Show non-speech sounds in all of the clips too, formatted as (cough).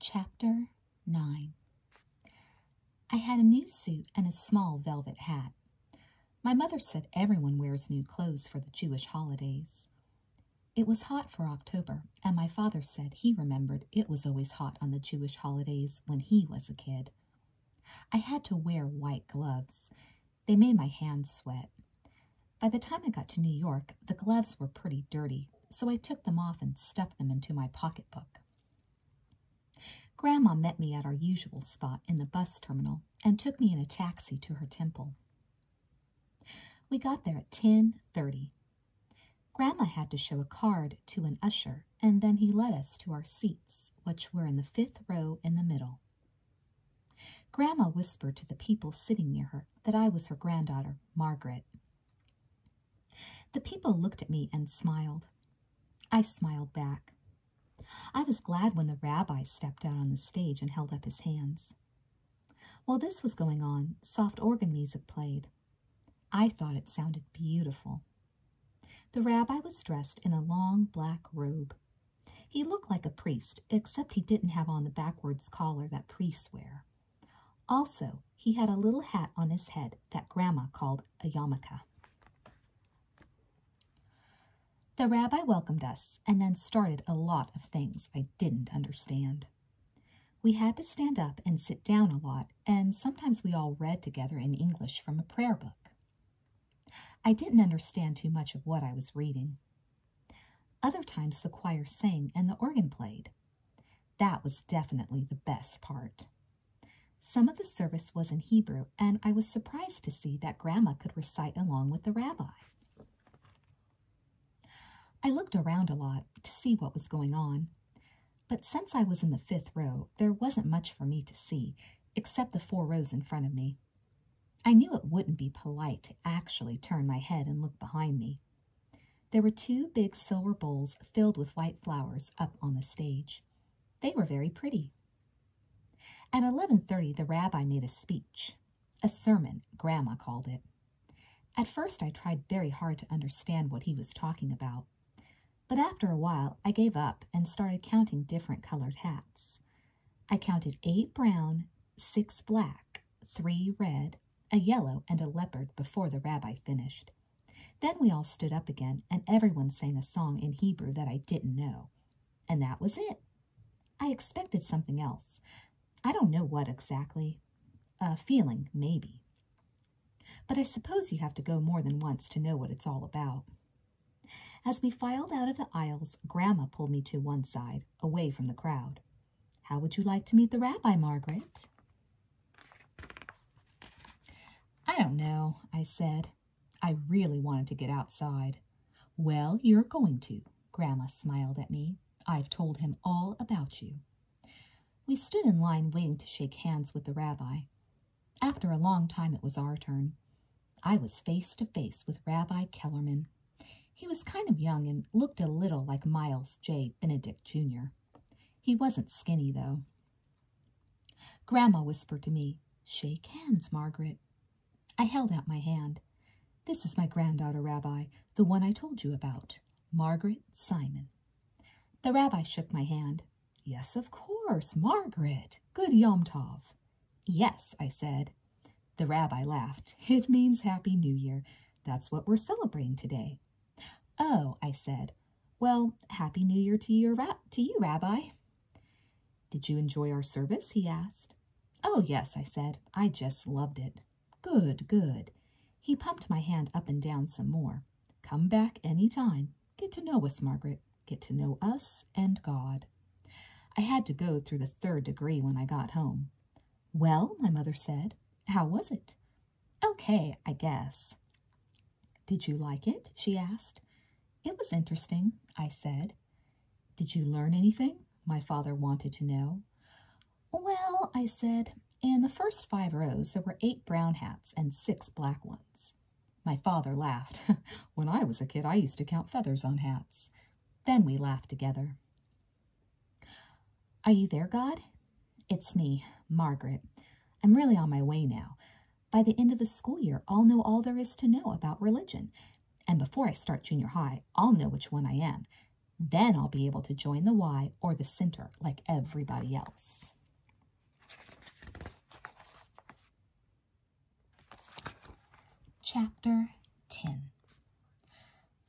Chapter 9 I had a new suit and a small velvet hat. My mother said everyone wears new clothes for the Jewish holidays. It was hot for October, and my father said he remembered it was always hot on the Jewish holidays when he was a kid. I had to wear white gloves. They made my hands sweat. By the time I got to New York, the gloves were pretty dirty, so I took them off and stuffed them into my pocketbook. Grandma met me at our usual spot in the bus terminal and took me in a taxi to her temple. We got there at 10.30. Grandma had to show a card to an usher, and then he led us to our seats, which were in the fifth row in the middle. Grandma whispered to the people sitting near her that I was her granddaughter, Margaret. The people looked at me and smiled. I smiled back. I was glad when the rabbi stepped out on the stage and held up his hands. While this was going on, soft organ music played. I thought it sounded beautiful. The rabbi was dressed in a long black robe he looked like a priest, except he didn't have on the backwards collar that priests wear. Also, he had a little hat on his head that Grandma called a yarmulke. The rabbi welcomed us and then started a lot of things I didn't understand. We had to stand up and sit down a lot, and sometimes we all read together in English from a prayer book. I didn't understand too much of what I was reading. Other times the choir sang and the organ played. That was definitely the best part. Some of the service was in Hebrew, and I was surprised to see that Grandma could recite along with the rabbi. I looked around a lot to see what was going on, but since I was in the fifth row, there wasn't much for me to see, except the four rows in front of me. I knew it wouldn't be polite to actually turn my head and look behind me. There were two big silver bowls filled with white flowers up on the stage. They were very pretty. At 11.30, the rabbi made a speech, a sermon, Grandma called it. At first, I tried very hard to understand what he was talking about. But after a while, I gave up and started counting different colored hats. I counted eight brown, six black, three red, a yellow, and a leopard before the rabbi finished. Then we all stood up again, and everyone sang a song in Hebrew that I didn't know. And that was it. I expected something else. I don't know what exactly. A feeling, maybe. But I suppose you have to go more than once to know what it's all about. As we filed out of the aisles, Grandma pulled me to one side, away from the crowd. How would you like to meet the rabbi, Margaret? I don't know, I said. I really wanted to get outside. Well, you're going to, Grandma smiled at me. I've told him all about you. We stood in line waiting to shake hands with the rabbi. After a long time, it was our turn. I was face to face with Rabbi Kellerman. He was kind of young and looked a little like Miles J. Benedict, Jr. He wasn't skinny, though. Grandma whispered to me, Shake hands, Margaret. I held out my hand. This is my granddaughter, Rabbi, the one I told you about, Margaret Simon. The rabbi shook my hand. Yes, of course, Margaret. Good Yom Tov. Yes, I said. The rabbi laughed. (laughs) It means Happy New Year. That's what we're celebrating today. Oh, I said. Well, Happy New Year to you, to you, Rabbi. Did you enjoy our service? He asked. Oh, yes, I said. I just loved it. Good, good. He pumped my hand up and down some more. Come back any time. Get to know us, Margaret get to know us and God. I had to go through the third degree when I got home. Well, my mother said, how was it? Okay, I guess. Did you like it? she asked. It was interesting, I said. Did you learn anything? my father wanted to know. Well, I said, in the first five rows, there were eight brown hats and six black ones. My father laughed. (laughs) when I was a kid, I used to count feathers on hats. Then we laughed together. Are you there, God? It's me, Margaret. I'm really on my way now. By the end of the school year, I'll know all there is to know about religion. And before I start junior high, I'll know which one I am. Then I'll be able to join the Y or the center like everybody else. Chapter 10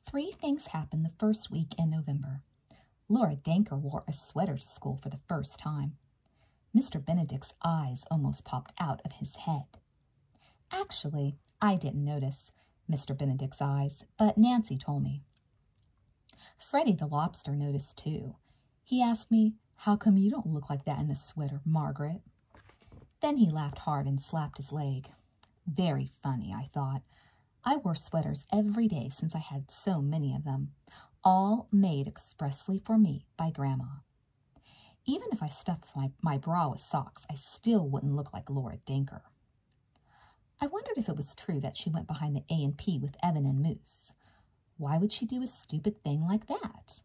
Three things happened the first week in November. Laura Danker wore a sweater to school for the first time. Mr. Benedict's eyes almost popped out of his head. Actually, I didn't notice Mr. Benedict's eyes, but Nancy told me. Freddie the lobster noticed too. He asked me, how come you don't look like that in a sweater, Margaret? Then he laughed hard and slapped his leg. Very funny, I thought. I wore sweaters every day since I had so many of them, all made expressly for me by Grandma. Even if I stuffed my, my bra with socks, I still wouldn't look like Laura Danker. I wondered if it was true that she went behind the A&P with Evan and Moose. Why would she do a stupid thing like that?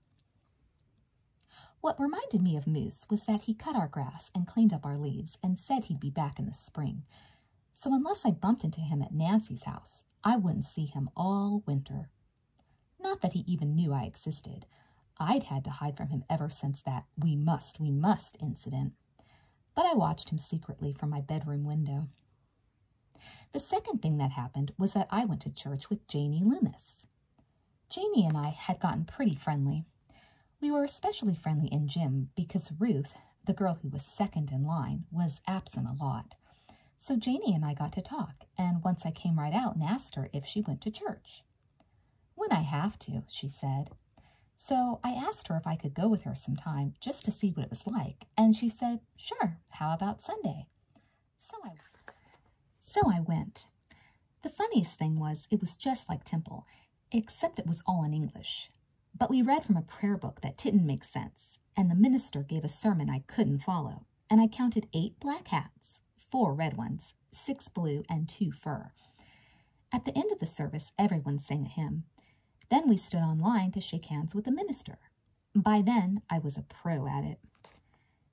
What reminded me of Moose was that he cut our grass and cleaned up our leaves and said he'd be back in the spring. So unless I bumped into him at Nancy's house, I wouldn't see him all winter. Not that he even knew I existed. I'd had to hide from him ever since that we must, we must incident. But I watched him secretly from my bedroom window. The second thing that happened was that I went to church with Janie Loomis. Janey and I had gotten pretty friendly. We were especially friendly in gym because Ruth, the girl who was second in line, was absent a lot. So Janey and I got to talk, and once I came right out and asked her if she went to church. When I have to, she said. So I asked her if I could go with her sometime just to see what it was like, and she said, sure, how about Sunday? So I, so I went. The funniest thing was it was just like temple, except it was all in English. But we read from a prayer book that didn't make sense, and the minister gave a sermon I couldn't follow, and I counted eight black hats, four red ones, six blue, and two fur. At the end of the service, everyone sang a hymn. Then we stood on line to shake hands with the minister. By then, I was a pro at it.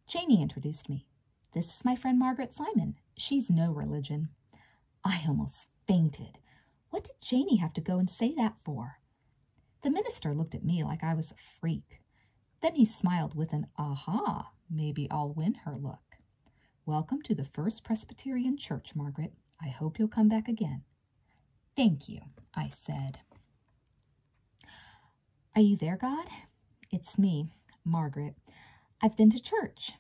Janey introduced me. This is my friend Margaret Simon. She's no religion. I almost fainted. What did Janey have to go and say that for? The minister looked at me like I was a freak. Then he smiled with an aha, maybe I'll win her look. Welcome to the First Presbyterian Church, Margaret. I hope you'll come back again. Thank you, I said. Are you there, God? It's me, Margaret. I've been to church.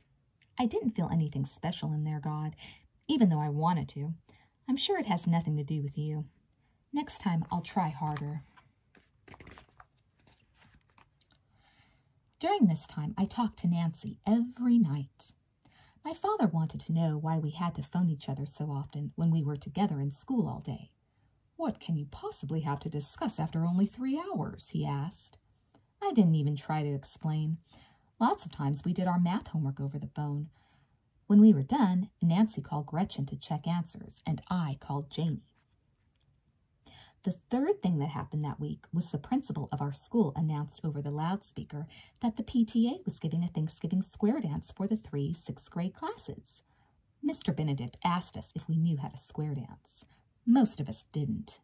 I didn't feel anything special in there, God, even though I wanted to. I'm sure it has nothing to do with you. Next time, I'll try harder. During this time, I talked to Nancy every night. My father wanted to know why we had to phone each other so often when we were together in school all day. What can you possibly have to discuss after only three hours? he asked. I didn't even try to explain. Lots of times we did our math homework over the phone. When we were done, Nancy called Gretchen to check answers, and I called Janie. The third thing that happened that week was the principal of our school announced over the loudspeaker that the PTA was giving a Thanksgiving square dance for the three sixth grade classes. Mr. Benedict asked us if we knew how to square dance. Most of us didn't.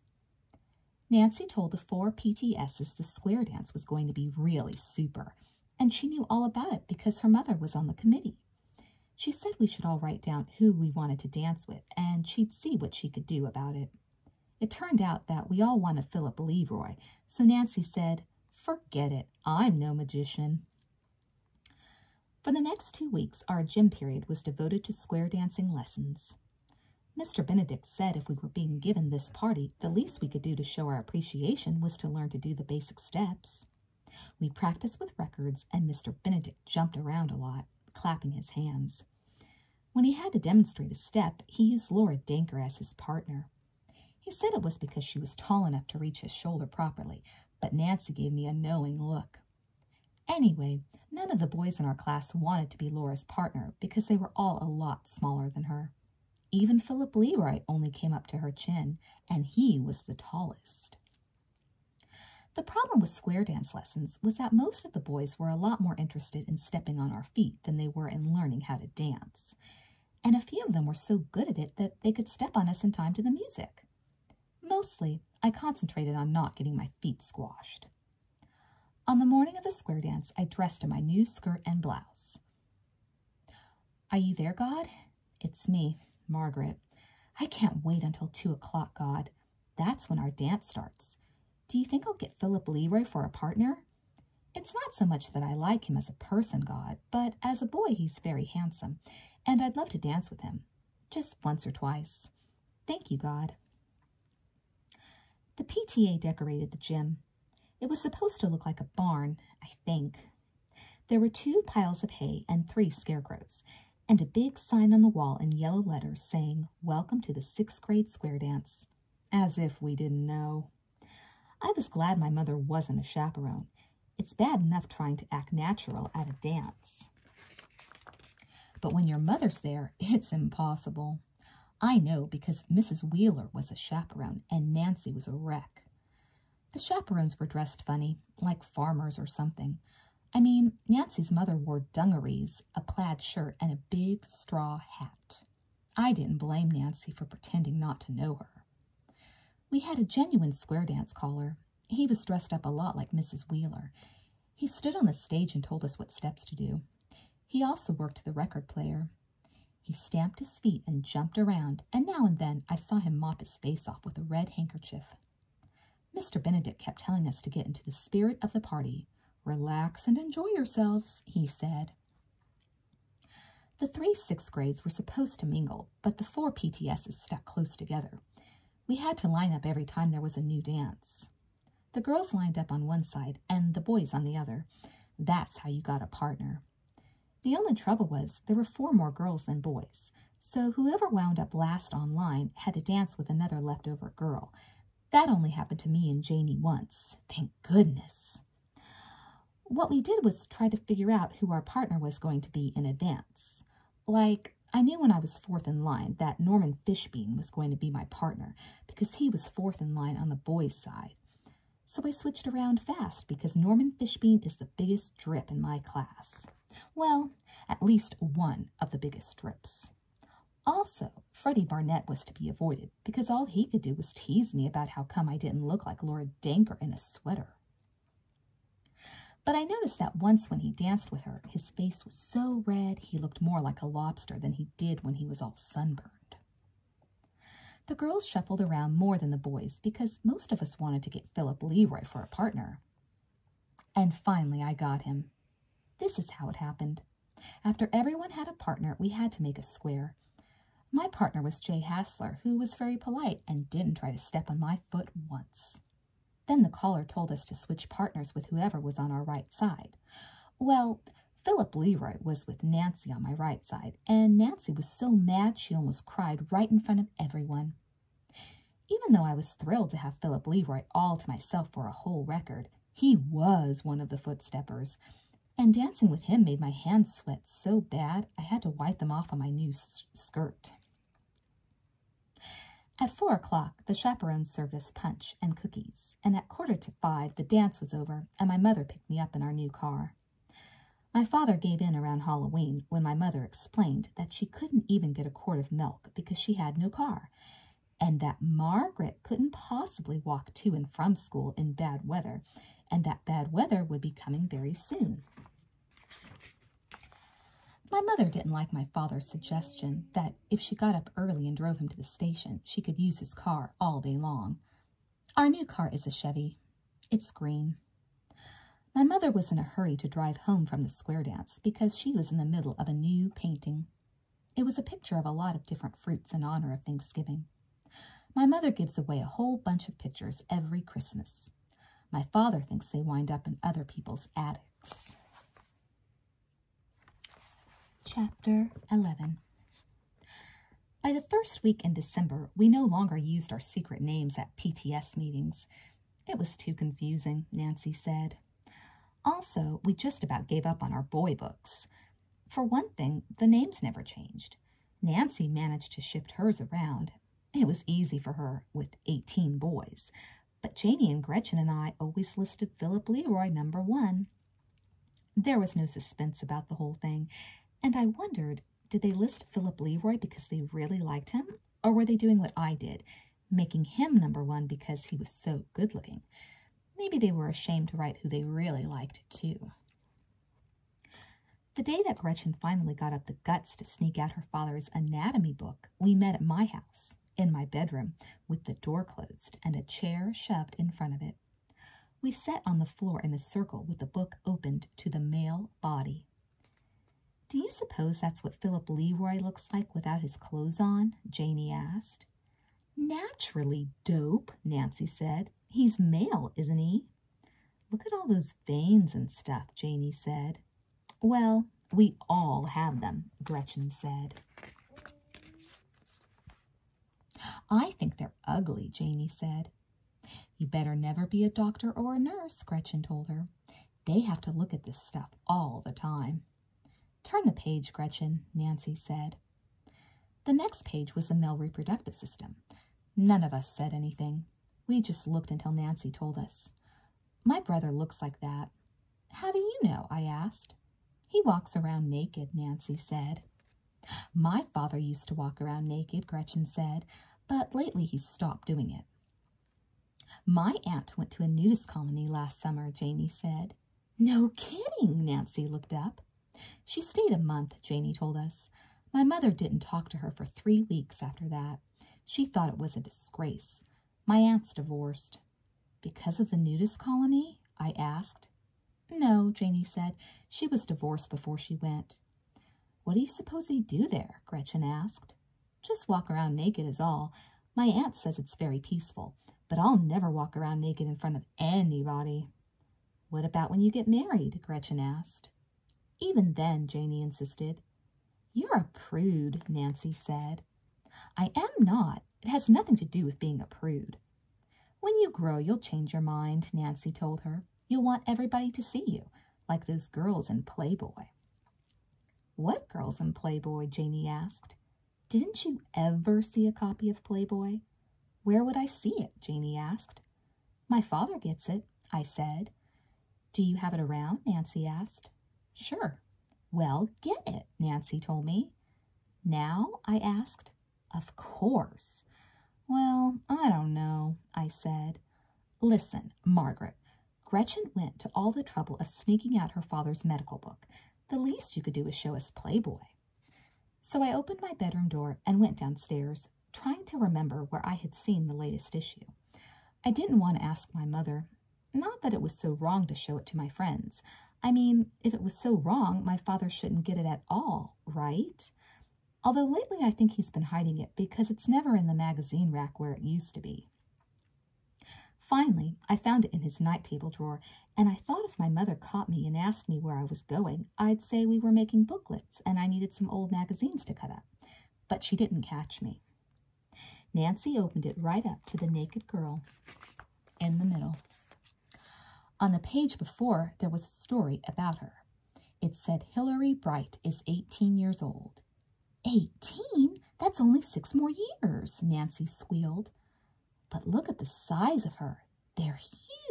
Nancy told the four PTSs the square dance was going to be really super, and she knew all about it because her mother was on the committee. She said we should all write down who we wanted to dance with, and she'd see what she could do about it. It turned out that we all wanted Philip Leroy, so Nancy said, Forget it, I'm no magician. For the next two weeks, our gym period was devoted to square dancing lessons. Mr. Benedict said if we were being given this party, the least we could do to show our appreciation was to learn to do the basic steps. We practiced with records, and Mr. Benedict jumped around a lot, clapping his hands. When he had to demonstrate a step, he used Laura Danker as his partner. He said it was because she was tall enough to reach his shoulder properly, but Nancy gave me a knowing look. Anyway, none of the boys in our class wanted to be Laura's partner because they were all a lot smaller than her. Even Philip Leroy only came up to her chin, and he was the tallest. The problem with square dance lessons was that most of the boys were a lot more interested in stepping on our feet than they were in learning how to dance. And a few of them were so good at it that they could step on us in time to the music. Mostly, I concentrated on not getting my feet squashed. On the morning of the square dance, I dressed in my new skirt and blouse. Are you there, God? It's me, Margaret. I can't wait until two o'clock, God. That's when our dance starts. Do you think I'll get Philip Leroy for a partner? It's not so much that I like him as a person, God but as a boy he's very handsome, and I'd love to dance with him. Just once or twice. Thank you, God. The PTA decorated the gym. It was supposed to look like a barn, I think. There were two piles of hay and three scarecrows, and a big sign on the wall in yellow letters saying, Welcome to the sixth grade square dance. As if we didn't know. I was glad my mother wasn't a chaperone. It's bad enough trying to act natural at a dance. But when your mother's there, it's impossible. I know because Mrs. Wheeler was a chaperone and Nancy was a wreck. The chaperones were dressed funny, like farmers or something. I mean, Nancy's mother wore dungarees, a plaid shirt, and a big straw hat. I didn't blame Nancy for pretending not to know her. We had a genuine square dance caller, he was dressed up a lot like Mrs. Wheeler. He stood on the stage and told us what steps to do. He also worked the record player. He stamped his feet and jumped around, and now and then I saw him mop his face off with a red handkerchief. Mr. Benedict kept telling us to get into the spirit of the party. Relax and enjoy yourselves, he said. The three sixth grades were supposed to mingle, but the four PTSs stuck close together. We had to line up every time there was a new dance. The girls lined up on one side and the boys on the other. That's how you got a partner. The only trouble was there were four more girls than boys, so whoever wound up last on line had to dance with another leftover girl. That only happened to me and Janie once, thank goodness. What we did was try to figure out who our partner was going to be in advance. Like, I knew when I was fourth in line that Norman Fishbean was going to be my partner because he was fourth in line on the boys' side. So I switched around fast because Norman Fishbean is the biggest drip in my class. Well, at least one of the biggest drips. Also, Freddie Barnett was to be avoided because all he could do was tease me about how come I didn't look like Laura Danker in a sweater. But I noticed that once when he danced with her, his face was so red he looked more like a lobster than he did when he was all sunburned. The girls shuffled around more than the boys because most of us wanted to get Philip Leroy for a partner. And finally I got him. This is how it happened. After everyone had a partner, we had to make a square. My partner was Jay Hassler, who was very polite and didn't try to step on my my foot once. Then the caller told us to switch partners with whoever was on our right side. Well, Philip Leroy was with Nancy on my right side, and Nancy was so mad she almost cried right in front of everyone. Even though I was thrilled to have Philip Leroy all to myself for a whole record, he was one of the footstoppers, and dancing with him made my hands sweat so bad I had to wipe them off on my new skirt. At four o'clock, the chaperones served us punch and cookies, and at quarter to five, the dance was over, and my mother picked me up in our new car. My father gave in around Halloween when my mother explained that she couldn't even get a quart of milk because she had no car, and that Margaret couldn't possibly walk to and from school in bad weather, and that bad weather would be coming very soon. My mother didn't like my father's suggestion that if she got up early and drove him to the station, she could use his car all day long. Our new car is a Chevy. It's green. My mother was in a hurry to drive home from the square dance because she was in the middle of a new painting. It was a picture of a lot of different fruits in honor of Thanksgiving. My mother gives away a whole bunch of pictures every Christmas. My father thinks they wind up in other people's attics. Chapter 11 By the first week in December, we no longer used our secret names at PTS meetings. It was too confusing, Nancy said. Also, we just about gave up on our boy books. For one thing, the names never changed. Nancy managed to shift hers around, it was easy for her with 18 boys, but Janie and Gretchen and I always listed Philip Leroy number one. There was no suspense about the whole thing, and I wondered, did they list Philip Leroy because they really liked him, or were they doing what I did, making him number one because he was so good-looking? Maybe they were ashamed to write who they really liked, too. The day that Gretchen finally got up the guts to sneak out her father's anatomy book, we met at my house, in my bedroom, with the door closed and a chair shoved in front of it. We sat on the floor in a circle with the book opened to the male body. Do you suppose that's what Philip Leroy looks like without his clothes on? Janey asked. Naturally, dope, Nancy said. He's male, isn't he? Look at all those veins and stuff, Janey said. Well, we all have them, Gretchen said. I think they're ugly, Janey said. You better never be a doctor or a nurse, Gretchen told her. They have to look at this stuff all the time. Turn the page, Gretchen, Nancy said. The next page was the male reproductive system. None of us said anything. We just looked until Nancy told us. My brother looks like that. How do you know? I asked. He walks around naked, Nancy said. My father used to walk around naked, Gretchen said, but lately he's stopped doing it. My aunt went to a nudist colony last summer, Janey said. No kidding, Nancy looked up. She stayed a month, Janey told us. My mother didn't talk to her for three weeks after that. She thought it was a disgrace. My aunt's divorced. Because of the nudist colony? I asked. No, Janey said. She was divorced before she went. What do you suppose they do there? Gretchen asked. Just walk around naked is all. My aunt says it's very peaceful, but I'll never walk around naked in front of anybody. What about when you get married? Gretchen asked. Even then, Janey insisted. You're a prude, Nancy said. I am not. It has nothing to do with being a prude. When you grow, you'll change your mind, Nancy told her. You'll want everybody to see you, like those girls in Playboy. What girls in Playboy? Janey asked. Didn't you ever see a copy of Playboy? Where would I see it? Janey asked. My father gets it, I said. Do you have it around? Nancy asked. Sure. Well, get it, Nancy told me. Now? I asked. Of course. Well, I don't know, I said. Listen, Margaret, Gretchen went to all the trouble of sneaking out her father's medical book. The least you could do is show us Playboy. So I opened my bedroom door and went downstairs, trying to remember where I had seen the latest issue. I didn't want to ask my mother. Not that it was so wrong to show it to my friends. I mean, if it was so wrong, my father shouldn't get it at all, right? Although lately I think he's been hiding it because it's never in the magazine rack where it used to be. Finally, I found it in his night table drawer, and I thought if my mother caught me and asked me where I was going, I'd say we were making booklets and I needed some old magazines to cut up but she didn't catch me. Nancy opened it right up to the naked girl in the middle. On the page before, there was a story about her. It said Hillary Bright is 18 years old. 18? That's only six more years, Nancy squealed. But look at the size of her. They're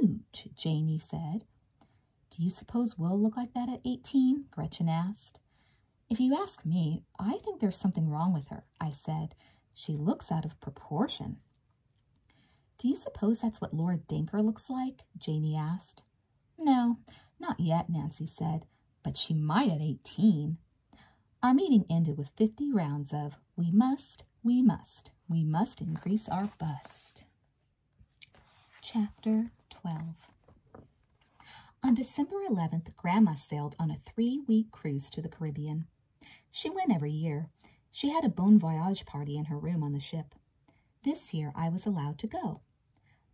huge, Janie said. Do you suppose will look like that at 18? Gretchen asked. If you ask me, I think there's something wrong with her, I said. She looks out of proportion. Do you suppose that's what Laura Dinker looks like? Janey asked. No, not yet, Nancy said, but she might at 18. Our meeting ended with 50 rounds of we must, we must, we must increase our bust. Chapter 12 On December 11th, Grandma sailed on a three-week cruise to the Caribbean. She went every year. She had a bon voyage party in her room on the ship. This year, I was allowed to go.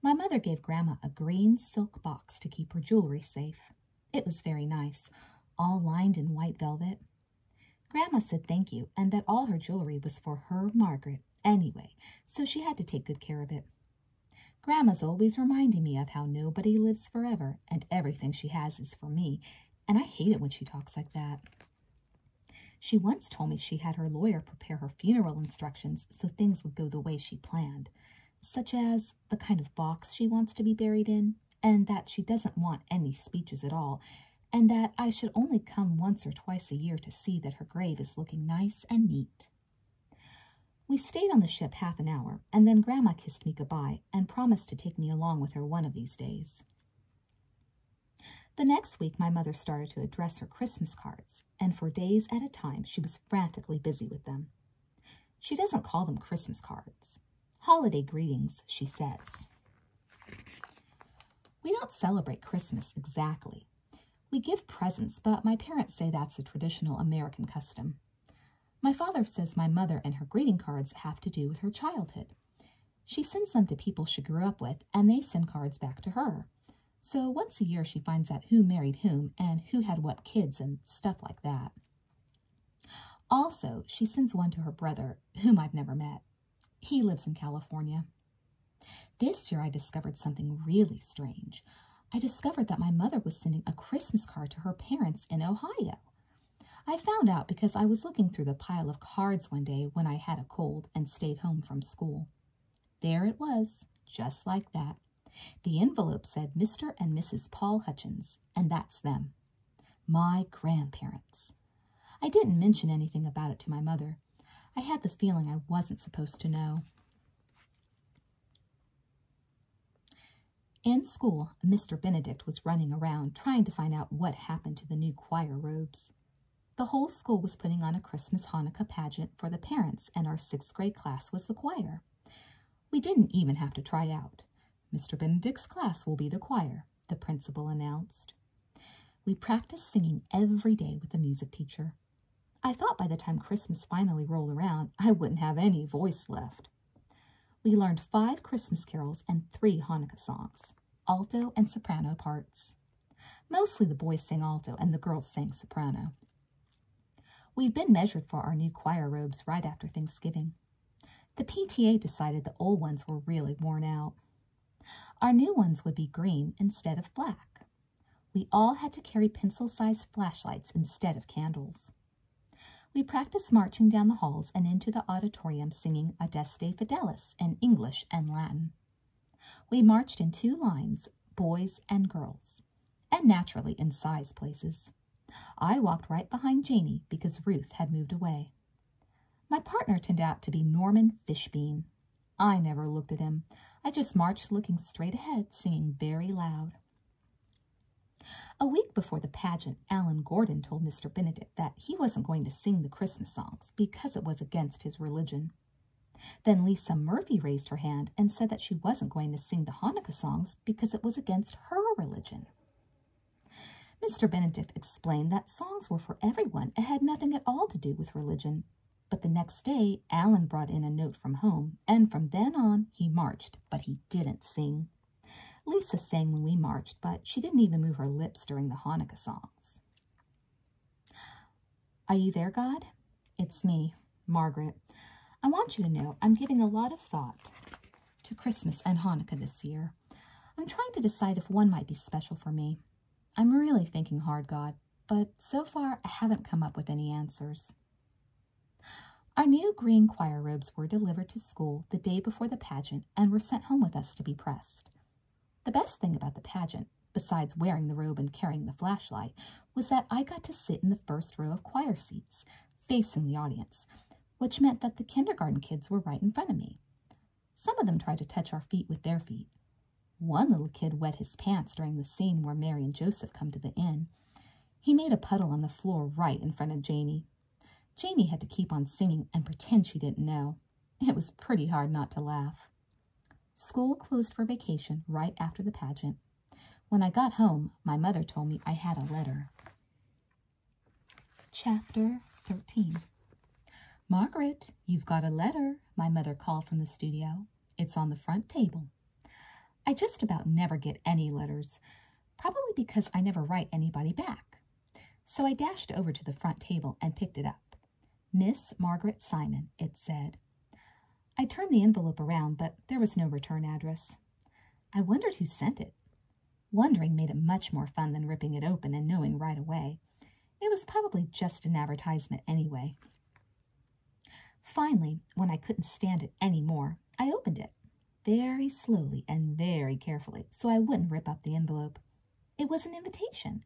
My mother gave Grandma a green silk box to keep her jewelry safe. It was very nice, all lined in white velvet. Grandma said thank you and that all her jewelry was for her Margaret anyway, so she had to take good care of it. Grandma's always reminding me of how nobody lives forever and everything she has is for me, and I hate it when she talks like that. She once told me she had her lawyer prepare her funeral instructions so things would go the way she planned, such as the kind of box she wants to be buried in, and that she doesn't want any speeches at all, and that I should only come once or twice a year to see that her grave is looking nice and neat. We stayed on the ship half an hour, and then Grandma kissed me good by and promised to take me along with her one of these days. The next week, my mother started to address her Christmas cards, and for days at a time, she was frantically busy with them. She doesn't call them Christmas cards. Holiday greetings, she says. We don't celebrate Christmas exactly, we give presents, but my parents say that's a traditional American custom. My father says my mother and her greeting cards have to do with her childhood. She sends them to people she grew up with, and they send cards back to her. So once a year she finds out who married whom and who had what kids and stuff like that. Also, she sends one to her brother, whom I've never met. He lives in California. This year I discovered something really strange. I discovered that my mother was sending a Christmas card to her parents in Ohio. I found out because I was looking through the pile of cards one day when I had a cold and stayed home from school. There it was, just like that. The envelope said Mr. and Mrs. Paul Hutchins, and that's them. My grandparents. I didn't mention anything about it to my mother. I had the feeling I wasn't supposed to know. In school, Mr. Benedict was running around trying to find out what happened to the new choir robes. The whole school was putting on a Christmas Hanukkah pageant for the parents, and our sixth grade class was the choir. We didn't even have to try out. Mr. Benedict's class will be the choir, the principal announced. We practice singing every day with the music teacher. I thought by the time Christmas finally rolled around, I wouldn't have any voice left. We learned five Christmas carols and three Hanukkah songs, alto and soprano parts. Mostly the boys sang alto and the girls sang soprano. we have been measured for our new choir robes right after Thanksgiving. The PTA decided the old ones were really worn out. Our new ones would be green instead of black. We all had to carry pencil-sized flashlights instead of candles. We practiced marching down the halls and into the auditorium singing Adeste Fidelis in English and Latin. We marched in two lines, boys and girls, and naturally in size places. I walked right behind Janey because Ruth had moved away. My partner turned out to be Norman Fishbean, I never looked at him. I just marched looking straight ahead, singing very loud. A week before the pageant, Alan Gordon told Mr. Benedict that he wasn't going to sing the Christmas songs because it was against his religion. Then Lisa Murphy raised her hand and said that she wasn't going to sing the Hanukkah songs because it was against her religion. Mr. Benedict explained that songs were for everyone and had nothing at all to do with religion, but the next day, Alan brought in a note from home, and from then on he marched, but he didn't sing. Lisa sang when we marched, but she didn't even move her lips during the Hanukkah songs. Are you there, God? It's me, Margaret. I want you to know I'm giving a lot of thought to Christmas and Hanukkah this year. I'm trying to decide if one might be special for me. I'm really thinking hard, God but so far I haven't come up with any answers. Our new green choir robes were delivered to school the day before the pageant and were sent home with us to be pressed. The best thing about the pageant, besides wearing the robe and carrying the flashlight, was that I got to sit in the first row of choir seats, facing the audience, which meant that the kindergarten kids were right in front of me. Some of them tried to touch our feet with their feet, one little kid wet his pants during the scene where Mary and Joseph come to the inn. He made a puddle on the floor right in front of Janie. Janie had to keep on singing and pretend she didn't know. It was pretty hard not to laugh. School closed for vacation right after the pageant. When I got home, my mother told me I had a letter. Chapter 13 Margaret, you've got a letter, my mother called from the studio. It's on the front table. I just about never get any letters, probably because I never write anybody back. So I dashed over to the front table and picked it up. Miss Margaret Simon, it said. I turned the envelope around, but there was no return address. I wondered who sent it. Wondering made it much more fun than ripping it open and knowing right away. It was probably just an advertisement anyway. Finally, when I couldn't stand it any more, I opened it very slowly and very carefully so I wouldn't rip up the envelope. It was an invitation.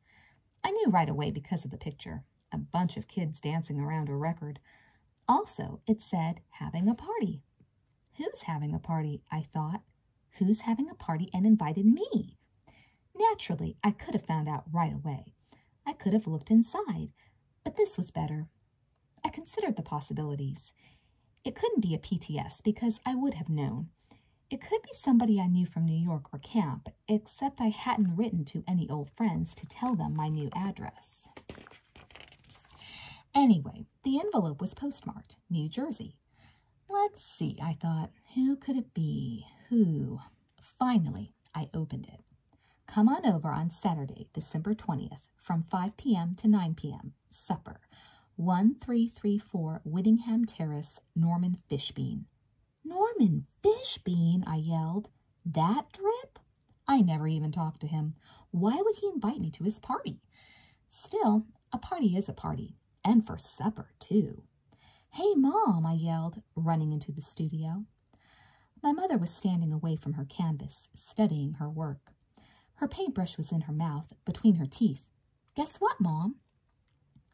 I knew right away because of the picture a bunch of kids dancing around a record. Also, it said having a party. Who's having a party? I thought. Who's having a party and invited me? Naturally, I could have found out right away. I could have looked inside, but this was better. I considered the possibilities. It couldn't be a PTS because I would have known. It could be somebody I knew from New York or camp, except I hadn't written to any old friends to tell them my new address. Anyway, the envelope was postmarked, New Jersey. Let's see, I thought. Who could it be? Who? Finally, I opened it. Come on over on Saturday, December 20th from 5 p.m. to 9 p.m. Supper, 1334 Whittingham Terrace, Norman Fishbean. Norman Fishbean, I yelled. That drip? I never even talked to him. Why would he invite me to his party? Still, a party is a party, and for supper, too. Hey, Mom, I yelled, running into the studio. My mother was standing away from her canvas, studying her work. Her paintbrush was in her mouth, between her teeth. Guess what, Mom?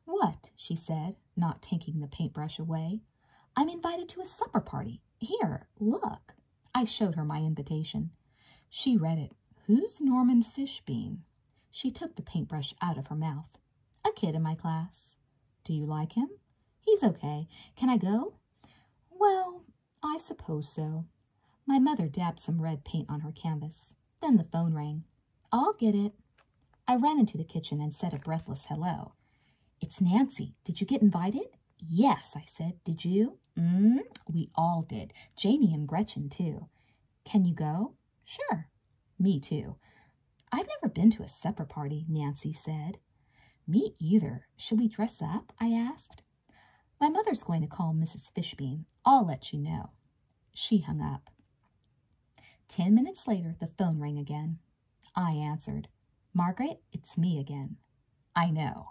What? she said, not taking the paintbrush away. I'm invited to a supper party. Here, look. I showed her my invitation. She read it. Who's Norman Fishbean? She took the paintbrush out of her mouth. A kid in my class. Do you like him? He's okay. Can I go? Well, I suppose so. My mother dabbed some red paint on her canvas. Then the phone rang. I'll get it. I ran into the kitchen and said a breathless hello. It's Nancy. Did you get invited? Yes, I said. Did you? Mm, we all did. Janie and Gretchen, too. Can you go? Sure. Me, too. I've never been to a supper party, Nancy said. Me either. Shall we dress up? I asked. My mother's going to call Mrs. Fishbean. I'll let you know. She hung up. Ten minutes later, the phone rang again. I answered. Margaret, it's me again. I know.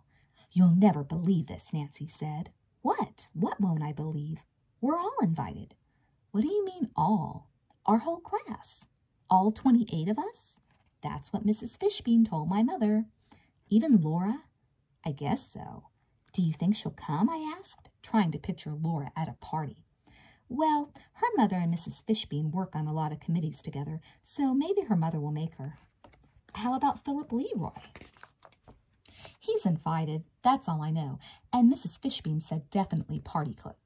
You'll never believe this, Nancy said. What? What won't I believe? We're all invited. What do you mean all? our whole class, all 28 of us. That's what Mrs. Fishbean told my mother. Even Laura? I guess so. Do you think she'll come? I asked, trying to picture Laura at a party. Well, her mother and Mrs. Fishbean work on a lot of committees together, so maybe her mother will make her. How about Philip Leroy? He's invited, that's all I know, and Mrs. Fishbean said definitely party clothes.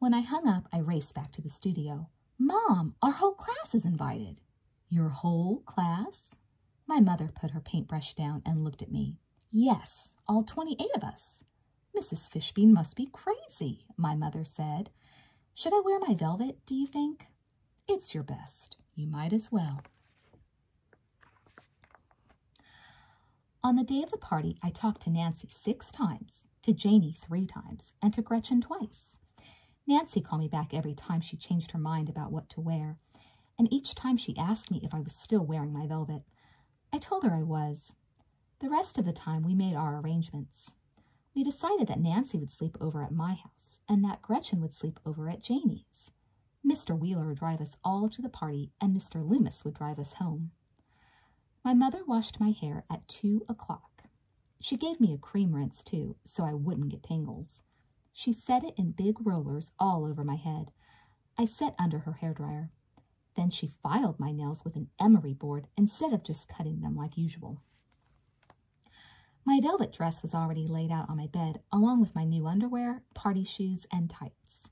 When I hung up, I raced back to the studio. Mom, our whole class is invited. Your whole class? My mother put her paintbrush down and looked at me. Yes, all 28 of us. Mrs. Fishbean must be crazy, my mother said. Should I wear my velvet, do you think? It's your best. You might as well. On the day of the party, I talked to Nancy six times, to Janey three times, and to Gretchen twice. Nancy called me back every time she changed her mind about what to wear, and each time she asked me if I was still wearing my velvet. I told her I was. The rest of the time, we made our arrangements. We decided that Nancy would sleep over at my house, and that Gretchen would sleep over at Janey's. Mr. Wheeler would drive us all to the party, and Mr. Loomis would drive us home. My mother washed my hair at two o'clock. She gave me a cream rinse, too, so I wouldn't get tangles. She set it in big rollers all over my head. I sat under her hair dryer. Then she filed my nails with an emery board instead of just cutting them like usual. My velvet dress was already laid out on my bed, along with my new underwear, party shoes, and tights.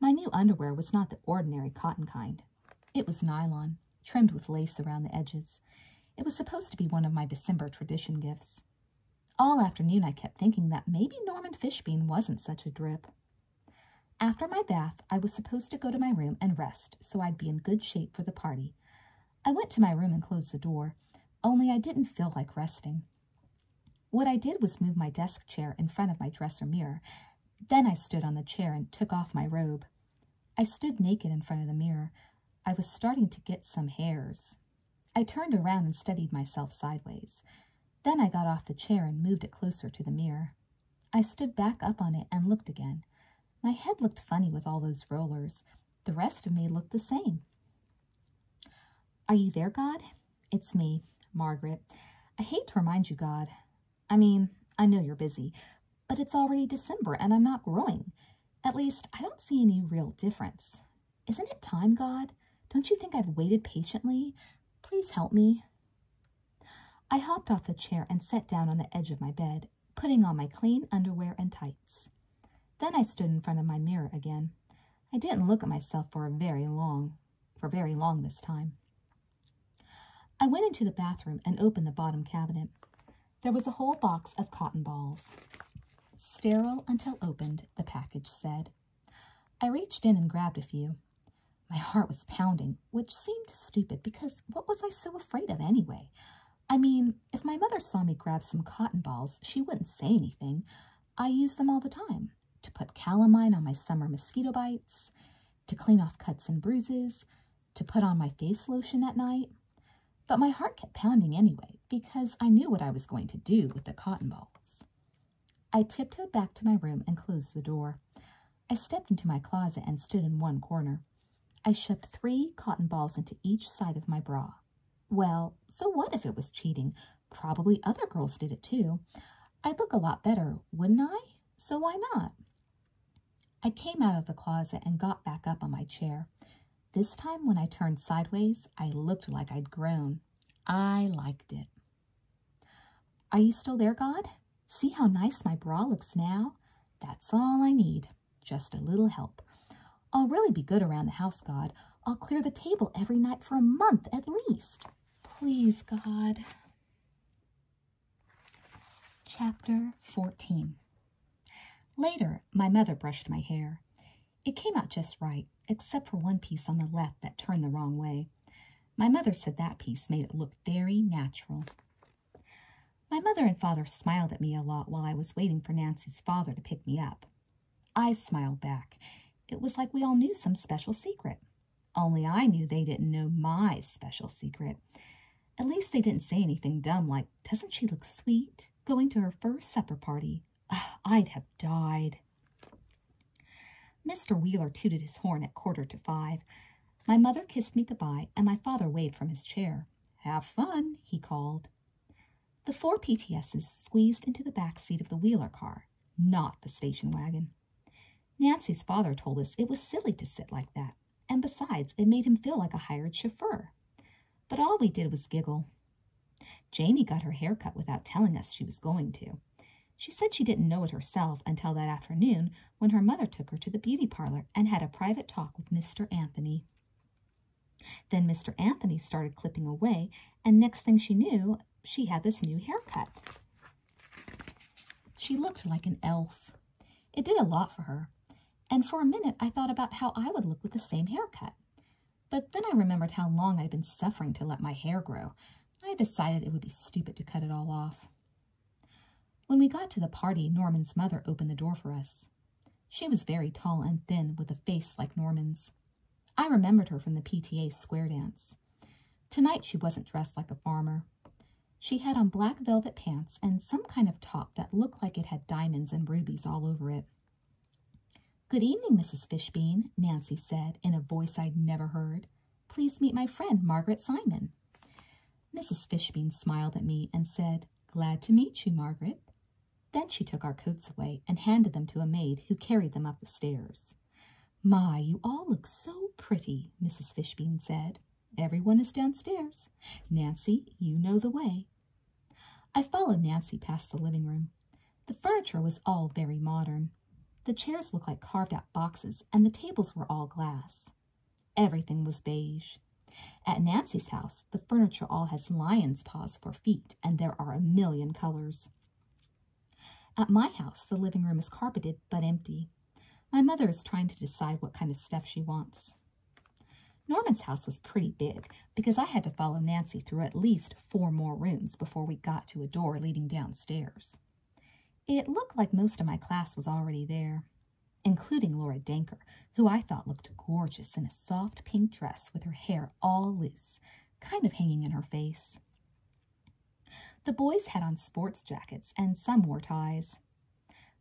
My new underwear was not the ordinary cotton kind. It was nylon, trimmed with lace around the edges. It was supposed to be one of my December tradition gifts. All afternoon I kept thinking that maybe Norman Fishbean wasn't such a drip. After my bath, I was supposed to go to my room and rest so I'd be in good shape for the party. I went to my room and closed the door, only I didn't feel like resting. What I did was move my desk chair in front of my dresser mirror then I stood on the chair and took off my robe. I stood naked in front of the mirror. I was starting to get some hairs. I turned around and studied myself sideways. Then I got off the chair and moved it closer to the mirror. I stood back up on it and looked again. My head looked funny with all those rollers. The rest of me looked the same. Are you there, God? It's me, Margaret. I hate to remind you, God. I mean, I know you're busy, but it's already December and I'm not growing. At least, I don't see any real difference. Isn't it time, God? Don't you think I've waited patiently? Please help me. I hopped off the chair and sat down on the edge of my bed, putting on my clean underwear and tights. Then I stood in front of my mirror again. I didn't look at myself for very long, for very long this time. I went into the bathroom and opened the bottom cabinet. There was a whole box of cotton balls. Sterile until opened, the package said. I reached in and grabbed a few. My heart was pounding, which seemed stupid because what was I so afraid of anyway? I mean, if my mother saw me grab some cotton balls, she wouldn't say anything. I use them all the time to put calamine on my summer mosquito bites, to clean off cuts and bruises, to put on my face lotion at night. But my heart kept pounding anyway because I knew what I was going to do with the cotton balls. I tiptoed back to my room and closed the door. I stepped into my closet and stood in one corner. I shoved three cotton balls into each side of my bra. Well, so what if it was cheating? Probably other girls did it too. I'd look a lot better, wouldn't I? So why not? I came out of the closet and got back up on my chair. This time, when I turned sideways, I looked like I'd grown. I liked it. Are you still there, God? See how nice my bra looks now? That's all I need, just a little help. I'll really be good around the house, God. I'll clear the table every night for a month at least. Please, God. Chapter 14 Later, my mother brushed my hair. It came out just right, except for one piece on the left that turned the wrong way. My mother said that piece made it look very natural. My mother and father smiled at me a lot while I was waiting for Nancy's father to pick me up. I smiled back. It was like we all knew some special secret. Only I knew they didn't know my special secret. At least they didn't say anything dumb like, doesn't she look sweet? Going to her first supper party. I'd have died. Mr. Wheeler tooted his horn at quarter to five. My mother kissed me goodbye, and my father waved from his chair. Have fun, he called. The four PTSs squeezed into the back seat of the Wheeler car, not the station wagon. Nancy's father told us it was silly to sit like that, and besides, it made him feel like a hired chauffeur. But all we did was giggle. Janey got her hair cut without telling us she was going to. She said she didn't know it herself until that afternoon when her mother took her to the beauty parlor and had a private talk with Mr. Anthony. Then Mr. Anthony started clipping away, and next thing she knew, she had this new haircut. She looked like an elf. It did a lot for her, and for a minute I thought about how I would look with the same haircut. But then I remembered how long I'd been suffering to let my hair grow. I decided it would be stupid to cut it all off. When we got to the party, Norman's mother opened the door for us. She was very tall and thin, with a face like Norman's. I remembered her from the PTA square dance dress. Tonight she wasn't dressed like a farmer. She had on black velvet pants and some kind of top that looked like it had diamonds and rubies all over it. Good evening, Mrs. Fishbean, Nancy said in a voice I'd never heard. Please meet my friend, Margaret Simon. Mrs. Fishbean smiled at me and said, Glad to meet you, Margaret. Then she took our coats away and handed them to a maid who carried them up the stairs. My, you all look so pretty, Mrs. Fishbean said. Everyone is downstairs. Nancy, you know the way. I followed Nancy past the living room. The furniture was all very modern. The chairs looked like carved out boxes, and the tables were all glass. Everything was beige. At Nancy's house, the furniture all has lion's paws for feet, and there are a million colors. At my house, the living room is carpeted but empty. My mother is trying to decide what kind of stuff she wants. Norman's house was pretty big because I had to follow Nancy through at least four more rooms before we got to a door leading downstairs. It looked like most of my class was already there, including Laura Danker, who I thought looked gorgeous in a soft pink dress with her hair all loose, kind of hanging in her face. The boys had on sports jackets and some wore ties.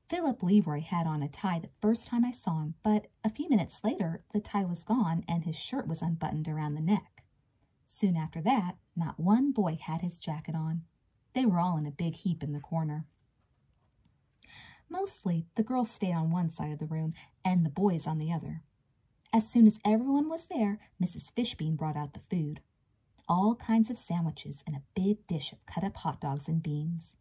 Philip Leroy had on a tie the first time I saw him, but a few minutes later the tie was gone and his shirt was unbuttoned around the neck. Soon after that, not one boy had his jacket on. They were all in a big heap in the corner. Mostly, the girls stayed on one side of the room and the boys on the other. As soon as everyone was there, Mrs. Fishbean brought out the food all kinds of sandwiches and a big dish of cut up hot dogs and beans.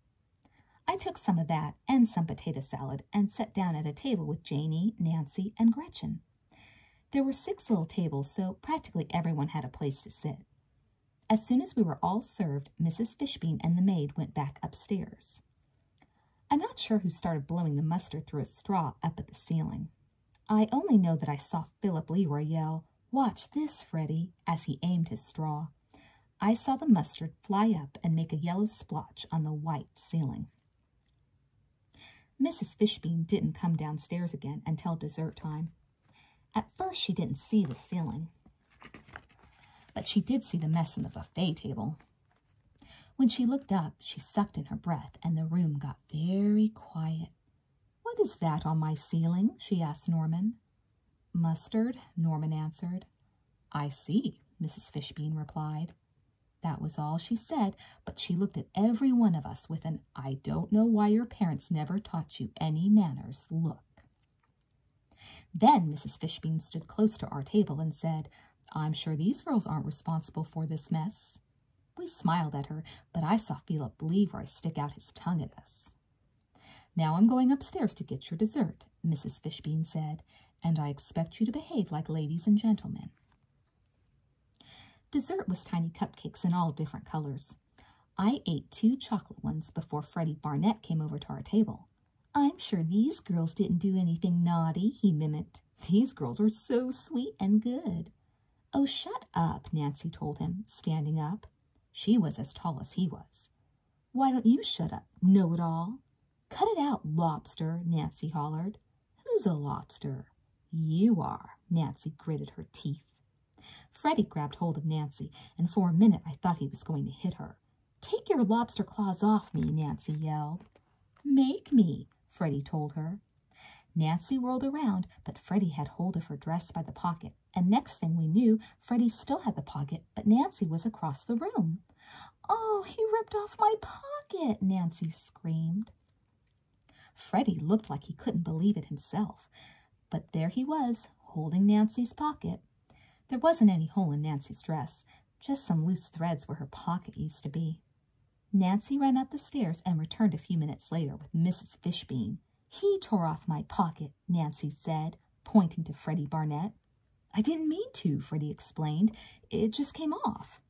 I took some of that and some potato salad and sat down at a table with Janey, Nancy, and Gretchen. There were six little tables, so practically everyone had a place to sit. As soon as we were all served, Mrs. Fishbean and the maid went back upstairs. I'm not sure who started blowing the mustard through a straw up at the ceiling. I only know that I saw Philip Leroy yell, Watch this, Freddie, as he aimed his straw. I saw the mustard fly up and make a yellow splotch on the white ceiling. Mrs. Fishbean didn't come downstairs again until dessert time. At first, she didn't see the ceiling, but she did see the mess on the buffet table. When she looked up, she sucked in her breath, and the room got very quiet. What is that on my ceiling? she asked Norman. Mustard, Norman answered. I see, Mrs. Fishbean replied. That was all she said, but she looked at every one of us with an I don't know why your parents never taught you any manners look. Then Mrs. Fishbean stood close to our table and said, I'm sure these girls aren't responsible for this mess. We smiled at her, but I saw Philip Leroy stick out his tongue at us. Now I'm going upstairs to get your dessert, Mrs. Fishbean said, and I expect you to behave like ladies and gentlemen. Dessert was tiny cupcakes in all different colors. I ate two chocolate ones before Freddie Barnett came over to our table. I'm sure these girls didn't do anything naughty, he mimicked. These girls are so sweet and good. Oh, shut up, Nancy told him, standing up. She was as tall as he was. Why don't you shut up, know it all? Cut it out, lobster, Nancy hollered. Who's a lobster? You are, Nancy gritted her teeth. Freddie grabbed hold of Nancy, and for a minute I thought he was going to hit her. Take your lobster claws off me, Nancy yelled. Make me, Freddie told her. Nancy whirled around, but Freddie had hold of her dress by the pocket, and next thing we knew, Freddie still had the pocket, but Nancy was across the room. Oh, he ripped off my pocket, Nancy screamed. Freddie looked like he couldn't believe it himself, but there he was, holding Nancy's pocket. There wasn't any hole in Nancy's dress, just some loose threads where her pocket used to be. Nancy ran up the stairs and returned a few minutes later with Mrs. Fishbean. He tore off my pocket, Nancy said, pointing to Freddie Barnett. I didn't mean to, Freddie explained. It just came off.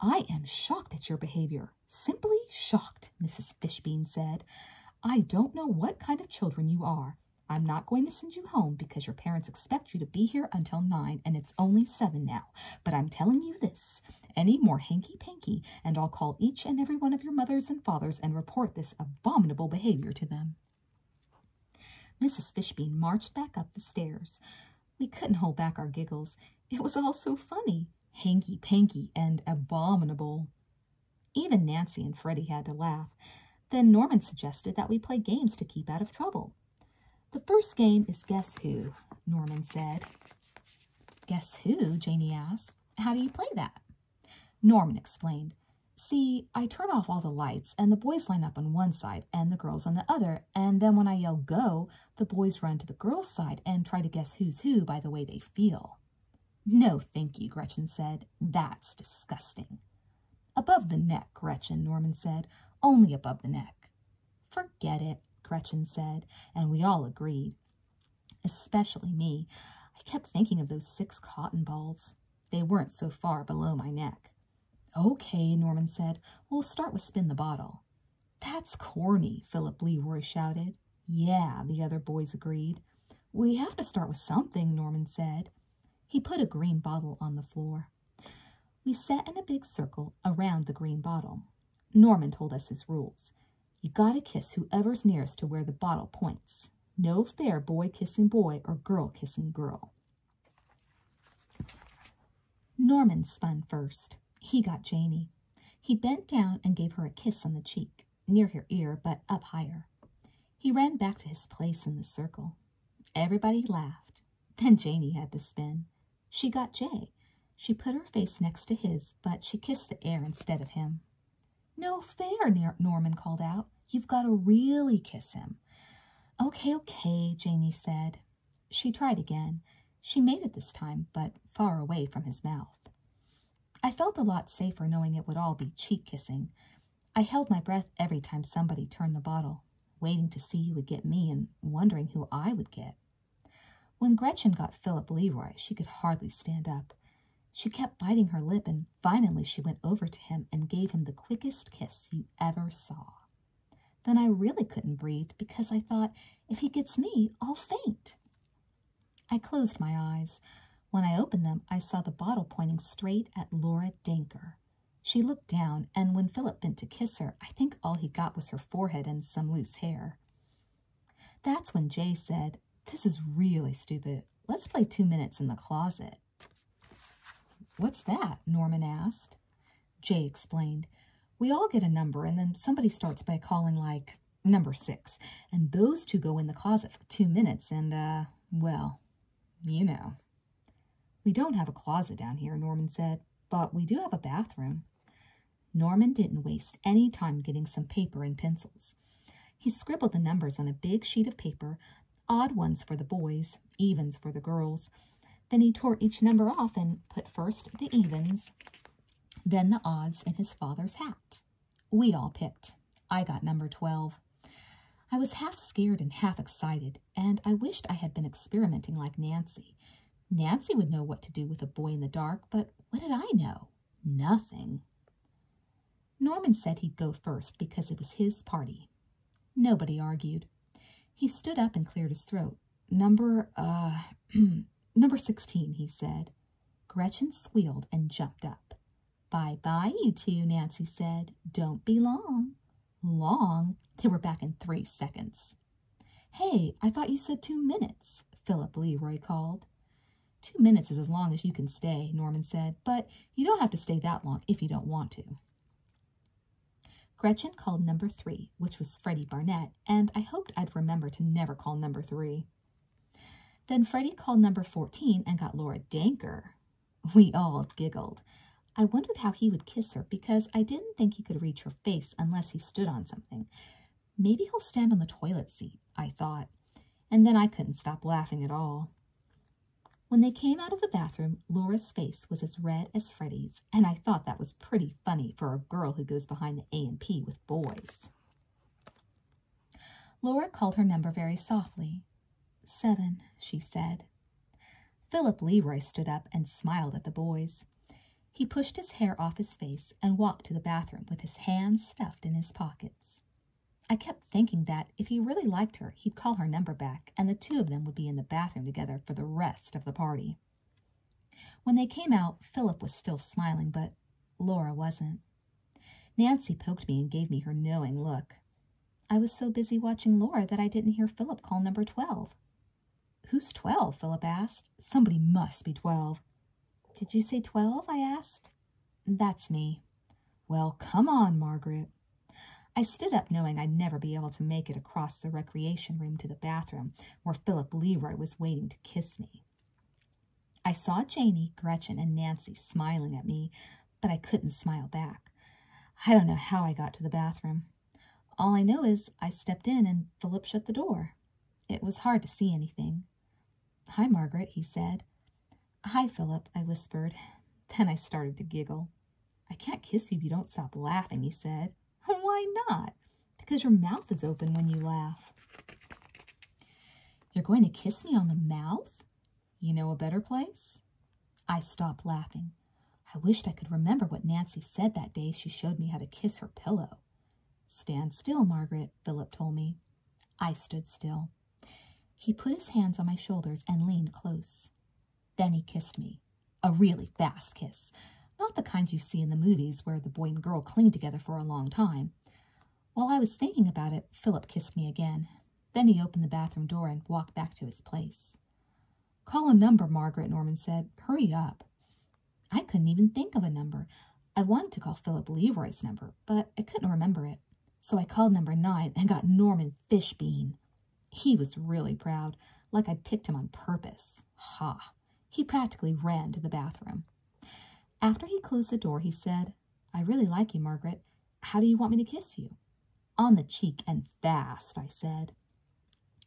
I am shocked at your behavior. Simply shocked, Mrs. Fishbean said. I don't know what kind of children you are. I'm not going to send you home because your parents expect you to be here until nine and it's only seven now. But I'm telling you this, any more hanky-panky, and I'll call each and every one of your mothers and fathers and report this abominable behavior to them. Mrs. Fishbean marched back up the stairs. We couldn't hold back our giggles. It was all so funny, hanky-panky, and abominable. Even Nancy and Freddie had to laugh. Then Norman suggested that we play games to keep out of trouble. The first game is Guess Who, Norman said. Guess who? Janey asked. How do you play that? Norman explained. See, I turn off all the lights, and the boys line up on one side and the girls on the other, and then when I yell go, the boys run to the girls' side and try to guess who's who by the way they feel. No, thank you, Gretchen said. That's disgusting. Above the neck, Gretchen, Norman said. Only above the neck. Forget it, Gretchen said, and we all agreed especially me, I kept thinking of those six cotton balls. They weren't so far below my neck. Okay, Norman said. We'll start with spin the bottle. That's corny, Philip Leroy shouted. Yeah, the other boys agreed. We have to start with something, Norman said. He put a green bottle on the floor. We sat in a big circle around the green bottle. Norman told us his rules. You gotta kiss whoever's nearest to where the bottle points. No fair boy kissing boy or girl kissing girl. Norman spun first. He got Janie. He bent down and gave her a kiss on the cheek, near her ear, but up higher. He ran back to his place in the circle. Everybody laughed. Then Janie had to spin. She got Jay, she put her face next to his, but she kissed the air instead of him. No fair, Norman called out. You've got to really kiss him. Okay, okay, Janey said. She tried again. She made it this time, but far away from his mouth. I felt a lot safer knowing it would all be cheek kissing. I held my breath every time somebody turned the bottle, waiting to see who would get me and wondering who I would get. When Gretchen got Philip Leroy, she could hardly stand up. She kept biting her lip, and finally she went over to him and gave him the quickest kiss you ever saw. Then I really couldn't breathe because I thought, if he gets me, I'll faint. I closed my eyes. When I opened them, I saw the bottle pointing straight at Laura Danker. She looked down, and when Philip bent to kiss her, I think all he got was her forehead and some loose hair. That's when Jay said, This is really stupid. Let's play two minutes in the closet. What's that? Norman asked. Jay explained, We all get a number, and then somebody starts by calling, like, number six. And those two go in the closet for two minutes, and, uh, well, you know. We don't have a closet down here, Norman said, but we do have a bathroom. Norman didn't waste any time getting some paper and pencils. He scribbled the numbers on a big sheet of paper, odd ones for the boys, evens for the girls. Then he tore each number off and put first the evens, then the odds in his father's hat. We all picked. I got number 12. I was half scared and half excited, and I wished I had been experimenting like Nancy. Nancy would know what to do with a boy in the dark, but what did I know? nothing. Norman said he'd go first because it was his party. Nobody argued. He stood up and cleared his throat. Number, uh, (clears throat) number 16, he said. Gretchen squealed and jumped up. Bye-bye, you two, Nancy said. Don't be long. Long? They were back in three seconds. Hey, I thought you said two minutes, Philip Leroy called. Two minutes is as long as you can stay, Norman said, but you don't have to stay that long if you don't want to. Gretchen called number three, which was Freddie Barnett, and I hoped I'd remember to never call number three. Then Freddie called number 14 and got Laura Danker. We all giggled. I wondered how he would kiss her because I didn't think he could reach her face unless he stood on something. Maybe he'll stand on the toilet seat, I thought, and then I couldn't stop laughing at all. When they came out of the bathroom, Laura's face was as red as Freddie's, and I thought that was pretty funny for a girl who goes behind the A&P with boys. Laura called her number very softly. Seven, she said. Philip Leroy stood up and smiled at the boys. He pushed his hair off his face and walked to the bathroom with his hands stuffed in his pockets. I kept thinking that if he really liked her, he'd call her number back, and the two of them would be in the bathroom together for the rest of the party. When they came out, Philip was still smiling, but Laura wasn't. Nancy poked me and gave me her knowing look. I was so busy watching Laura that I didn't hear Philip call number 12. Who's twelve?" Philip asked. Somebody must be twelve." Did you say 12? I asked. That's me. Well, come on, Margaret. I stood up knowing I'd never be able to make it across the recreation room to the bathroom where Philip Leroy was waiting to kiss me. I saw Janey, Gretchen, and Nancy smiling at me, but I couldn't smile back. I don't know how I got to the bathroom. All I know is I stepped in and Philip shut the door. It was hard to see anything. Hi, Margaret, he said. Hi, Philip, I whispered. Then I started to giggle. I can't kiss you if you don't stop laughing, he said. Why not? Because your mouth is open when you laugh. You're going to kiss me on the mouth? You know a better place? I stopped laughing. I wished I could remember what Nancy said that day she showed me how to kiss her pillow. Stand still, Margaret, Philip told me. I stood still. He put his hands on my shoulders and leaned close. Then he kissed me. A really fast kiss. Not the kind you see in the movies where the boy and girl cling together for a long time. While I was thinking about it, Philip kissed me again. Then he opened the bathroom door and walked back to his place. Call a number, Margaret, Norman said. Hurry up. I couldn't even think of a number. I wanted to call Philip Leroy's number, but I couldn't remember it. So I called number nine and got Norman Fishbean. He was really proud, like I'd picked him on purpose. Ha! He practically ran to the bathroom. After he closed the door, he said, I really like you, Margaret. How do you want me to kiss you? On the cheek and fast, I said.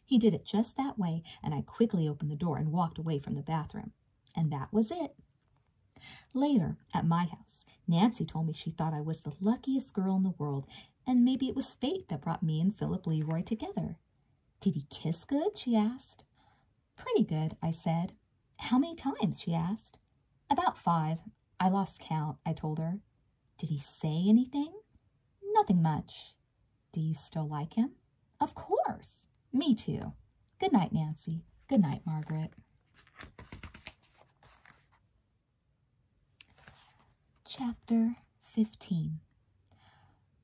He did it just that way, and I quickly opened the door and walked away from the bathroom. And that was it. Later, at my house, Nancy told me she thought I was the luckiest girl in the world, and maybe it was fate that brought me and Philip Leroy together. Did he kiss good? she asked. Pretty good, I said. How many times? she asked. About five. I lost count, I told her. Did he say anything? Nothing much. Do you still like him? Of course. Me too. Good night, Nancy. Good night, Margaret. Chapter 15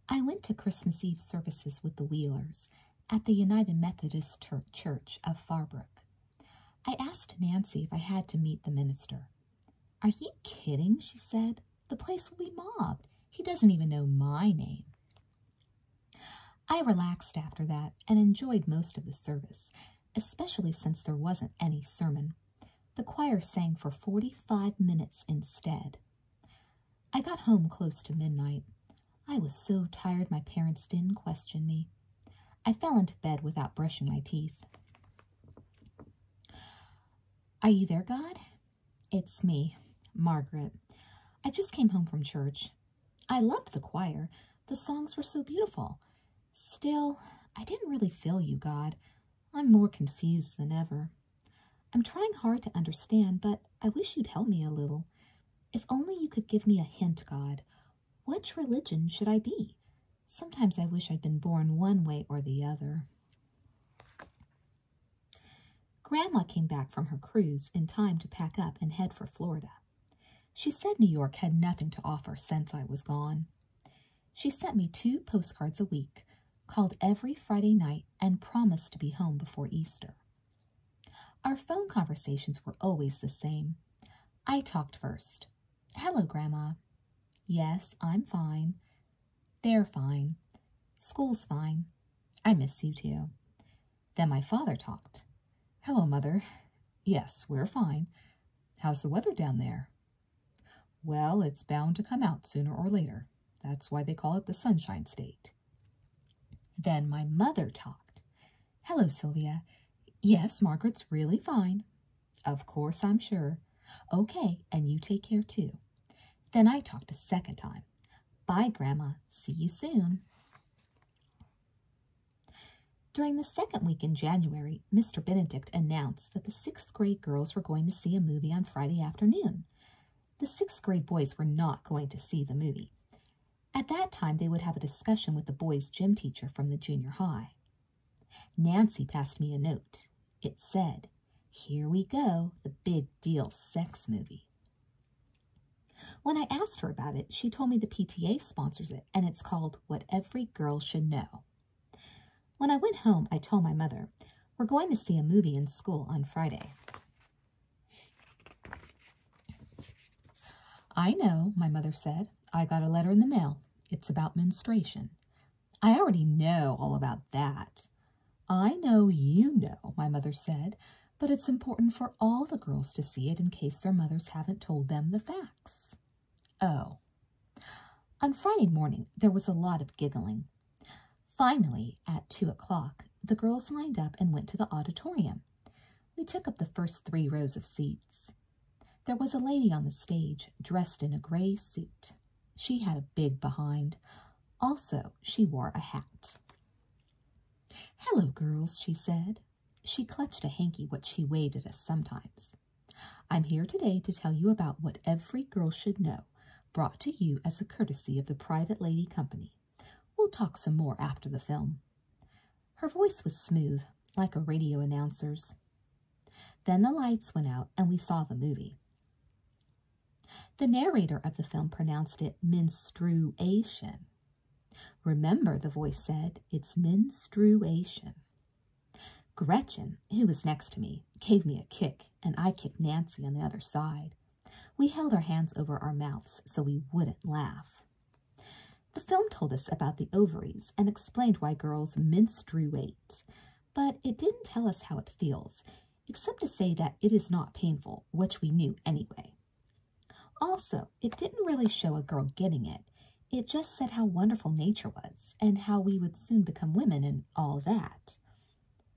I went to Christmas Eve services with the Wheelers at the United Methodist Church of Farbrook. I asked Nancy if I had to meet the minister. Are you kidding? she said. The place will be mobbed. He doesn't even know my name. I relaxed after that and enjoyed most of the service, especially since there wasn't any sermon. The choir sang for 45 minutes instead. I got home close to midnight. I was so tired my parents didn't question me. I fell into bed without brushing my teeth. Are you there, God? It's me, Margaret. I just came home from church. I loved the choir. The songs were so beautiful. Still, I didn't really feel you, God. I'm more confused than ever. I'm trying hard to understand, but I wish you'd help me a little. If only you could give me a hint, God. Which religion should I be? Sometimes I wish I'd been born one way or the other. Grandma came back from her cruise in time to pack up and head for Florida. She said New York had nothing to offer since I was gone. She sent me two postcards a week, called every Friday night, and promised to be home before Easter. Our phone conversations were always the same. I talked first. Hello, Grandma. Yes, I'm fine. They're fine. School's fine. I miss you too. Then my father talked. Hello, Mother. Yes, we're fine. How's the weather down there? Well, it's bound to come out sooner or later. That's why they call it the Sunshine State. Then my mother talked. Hello, Sylvia. Yes, Margaret's really fine. Of course, I'm sure. Okay, and you take care too. Then I talked a second time. Bye, Grandma. See you soon. During the second week in January, Mr. Benedict announced that the sixth grade girls were going to see a movie on Friday afternoon. The sixth grade boys were not going to see the movie. At that time, they would have a discussion with the boys' gym teacher from the junior high. Nancy passed me a note. It said, Here we go, the big deal sex movie. When I asked her about it, she told me the PTA sponsors it and it's called What Every Girl Should Know. When I went home, I told my mother, We're going to see a movie in school on Friday. I know, my mother said. I got a letter in the mail. It's about menstruation. I already know all about that. I know you know, my mother said, but it's important for all the girls to see it in case their mothers haven't told them the facts. Oh. On Friday morning, there was a lot of giggling. Finally, at two o'clock, the girls lined up and went to the auditorium. We took up the first three rows of seats. There was a lady on the stage dressed in a gray suit. She had a big behind. Also, she wore a hat. Hello, girls, she said. She clutched a hanky which she waved at us sometimes. I'm here today to tell you about what every girl should know, brought to you as a courtesy of the Private Lady Company. We'll talk some more after the film. Her voice was smooth, like a radio announcer's. Then the lights went out and we saw the movie. The narrator of the film pronounced it menstruation. Remember, the voice said, it's menstruation. Gretchen, who was next to me, gave me a kick, and I kicked Nancy on the other side. We held our hands over our mouths so we wouldn't laugh. The film told us about the ovaries and explained why girls menstruate, but it didn't tell us how it feels, except to say that it is not painful, which we knew anyway. Also, it didn't really show a girl getting it. It just said how wonderful nature was and how we would soon become women and all that.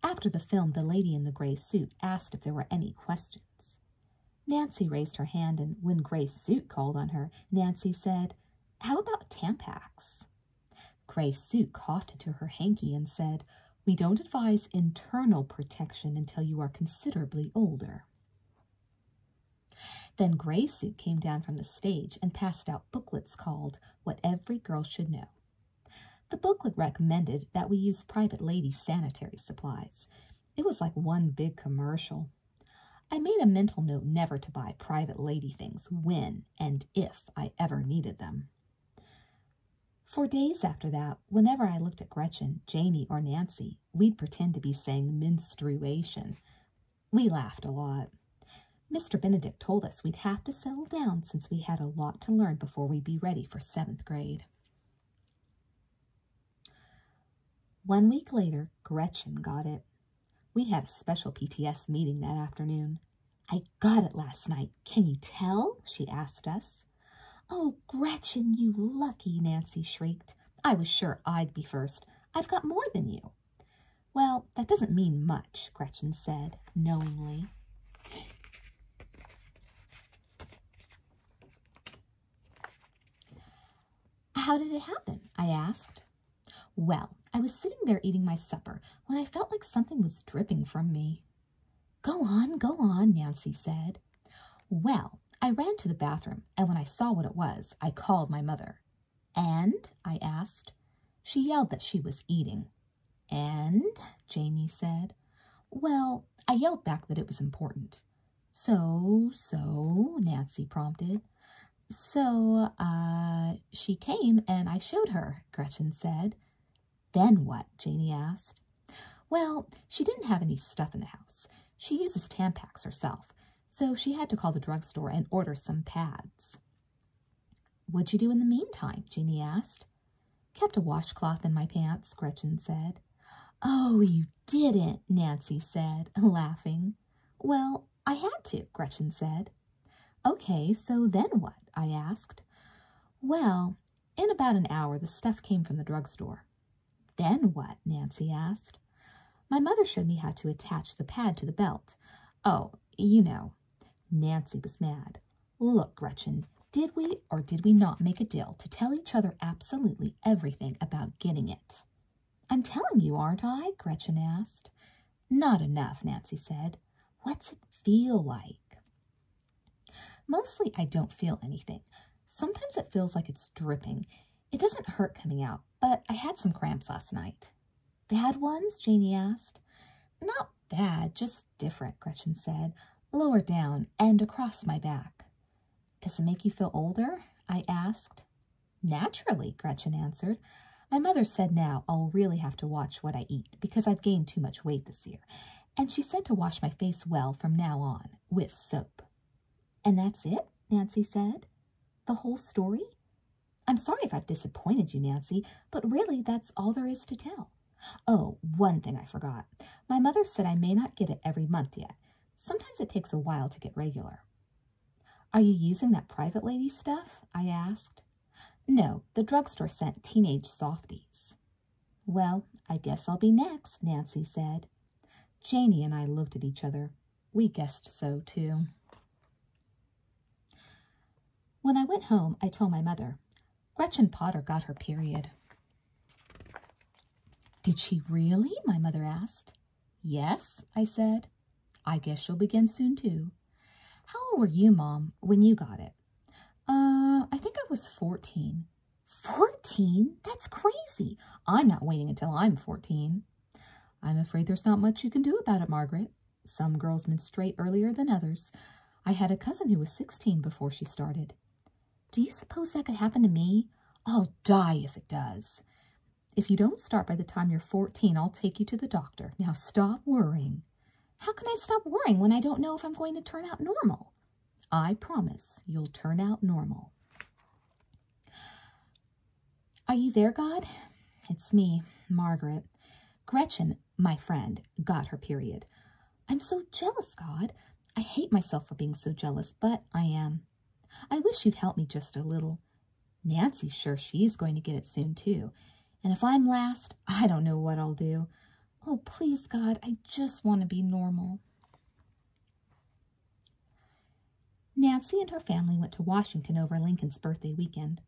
After the film, the lady in the gray suit asked if there were any questions. Nancy raised her hand, and when Gray Suit called on her, Nancy said, How about Tampax? Gray Suit coughed into her hanky and said, we don't advise internal protection until you are considerably older. Then Gray Suit came down from the stage and passed out booklets called What Every Girl Should Know. The booklet recommended that we use private lady sanitary supplies. It was like one big commercial. I made a mental note never to buy private lady things when and if I ever needed them. For days after that, whenever I looked at Gretchen, Janie, or Nancy, we'd pretend to be saying menstruation. We laughed a lot. Mr. Benedict told us we'd have to settle down since we had a lot to learn before we'd be ready for seventh grade. One week later, Gretchen got it. We had a special PTS meeting that afternoon. I got it last night. Can you tell? she asked us. Oh, Gretchen, you lucky, Nancy shrieked. I was sure I'd be first. I've got more than you. Well, that doesn't mean much, Gretchen said, knowingly. How did it happen? I asked. Well, I was sitting there eating my supper when I felt like something was dripping from me. Go on, go on, Nancy said. Well, I ran to the bathroom, and when I saw what it was, I called my mother. And? I asked. She yelled that she was eating. And? Janey said. Well, I yelled back that it was important. So, so, Nancy prompted. So, uh, she came and I showed her, Gretchen said. Then what? Janie asked. Well, she didn't have any stuff in the house. She uses Tampax herself, so she had to call the drugstore and order some pads. What'd you do in the meantime? Jeanie asked. Kept a washcloth in my pants, Gretchen said. Oh, you didn't, Nancy said, (laughs) laughing. Well, I had to, Gretchen said. Okay, so then what? I asked. Well, in about an hour, the stuff came from the drugstore. Then what? Nancy asked. My mother showed me how to attach the pad to the belt. Oh, you know. Nancy was mad. Look, Gretchen, did we or did we not make a deal to tell each other absolutely everything about getting it? I'm telling you, aren't I? Gretchen asked. Not enough, Nancy said. What's it feel like? Mostly, I don't feel anything. Sometimes it feels like it's dripping. It doesn't hurt coming out, but I had some cramps last night. Bad ones? Janie asked. Not bad, just different, Gretchen said, lower down and across my back. Does it make you feel older? I asked. Naturally, Gretchen answered. My mother said now I'll really have to watch what I eat because I've gained too much weight this year, and she said to wash my face well from now on with soap. And that's it, Nancy said. The whole story? I'm sorry if I've disappointed you, Nancy, but really that's all there is to tell. Oh, one thing I forgot. My mother said I may not get it every month yet. Sometimes it takes a while to get regular. Are you using that private lady stuff? I asked. No, the drugstore sent teenage softies. Well, I guess I'll be next, Nancy said. Janey and I looked at each other. We guessed so, too. When I went home, I told my mother. Gretchen Potter got her period. Did she really? My mother asked. Yes, I said. I guess she'll begin soon, too. How old were you, Mom, when you got it? Uh, I think I was 14. 14? That's crazy. I'm not waiting until I'm 14. I'm afraid there's not much you can do about it, Margaret. Some girls menstruate earlier than others. I had a cousin who was 16 before she started. Do you suppose that could happen to me? I'll die if it does. If you don't start by the time you're 14, I'll take you to the doctor. Now stop worrying. How can I stop worrying when I don't know if I'm going to turn out normal? I promise you'll turn out normal. Are you there, God? It's me, Margaret. Gretchen, my friend, got her period. I'm so jealous, God. I hate myself for being so jealous, but I am. I wish you'd help me just a little. Nancy's sure she's going to get it soon, too. And if I'm last, I don't know what I'll do. Oh, please, God, I just want to be normal. Nancy and her family went to Washington over Lincoln's birthday weekend.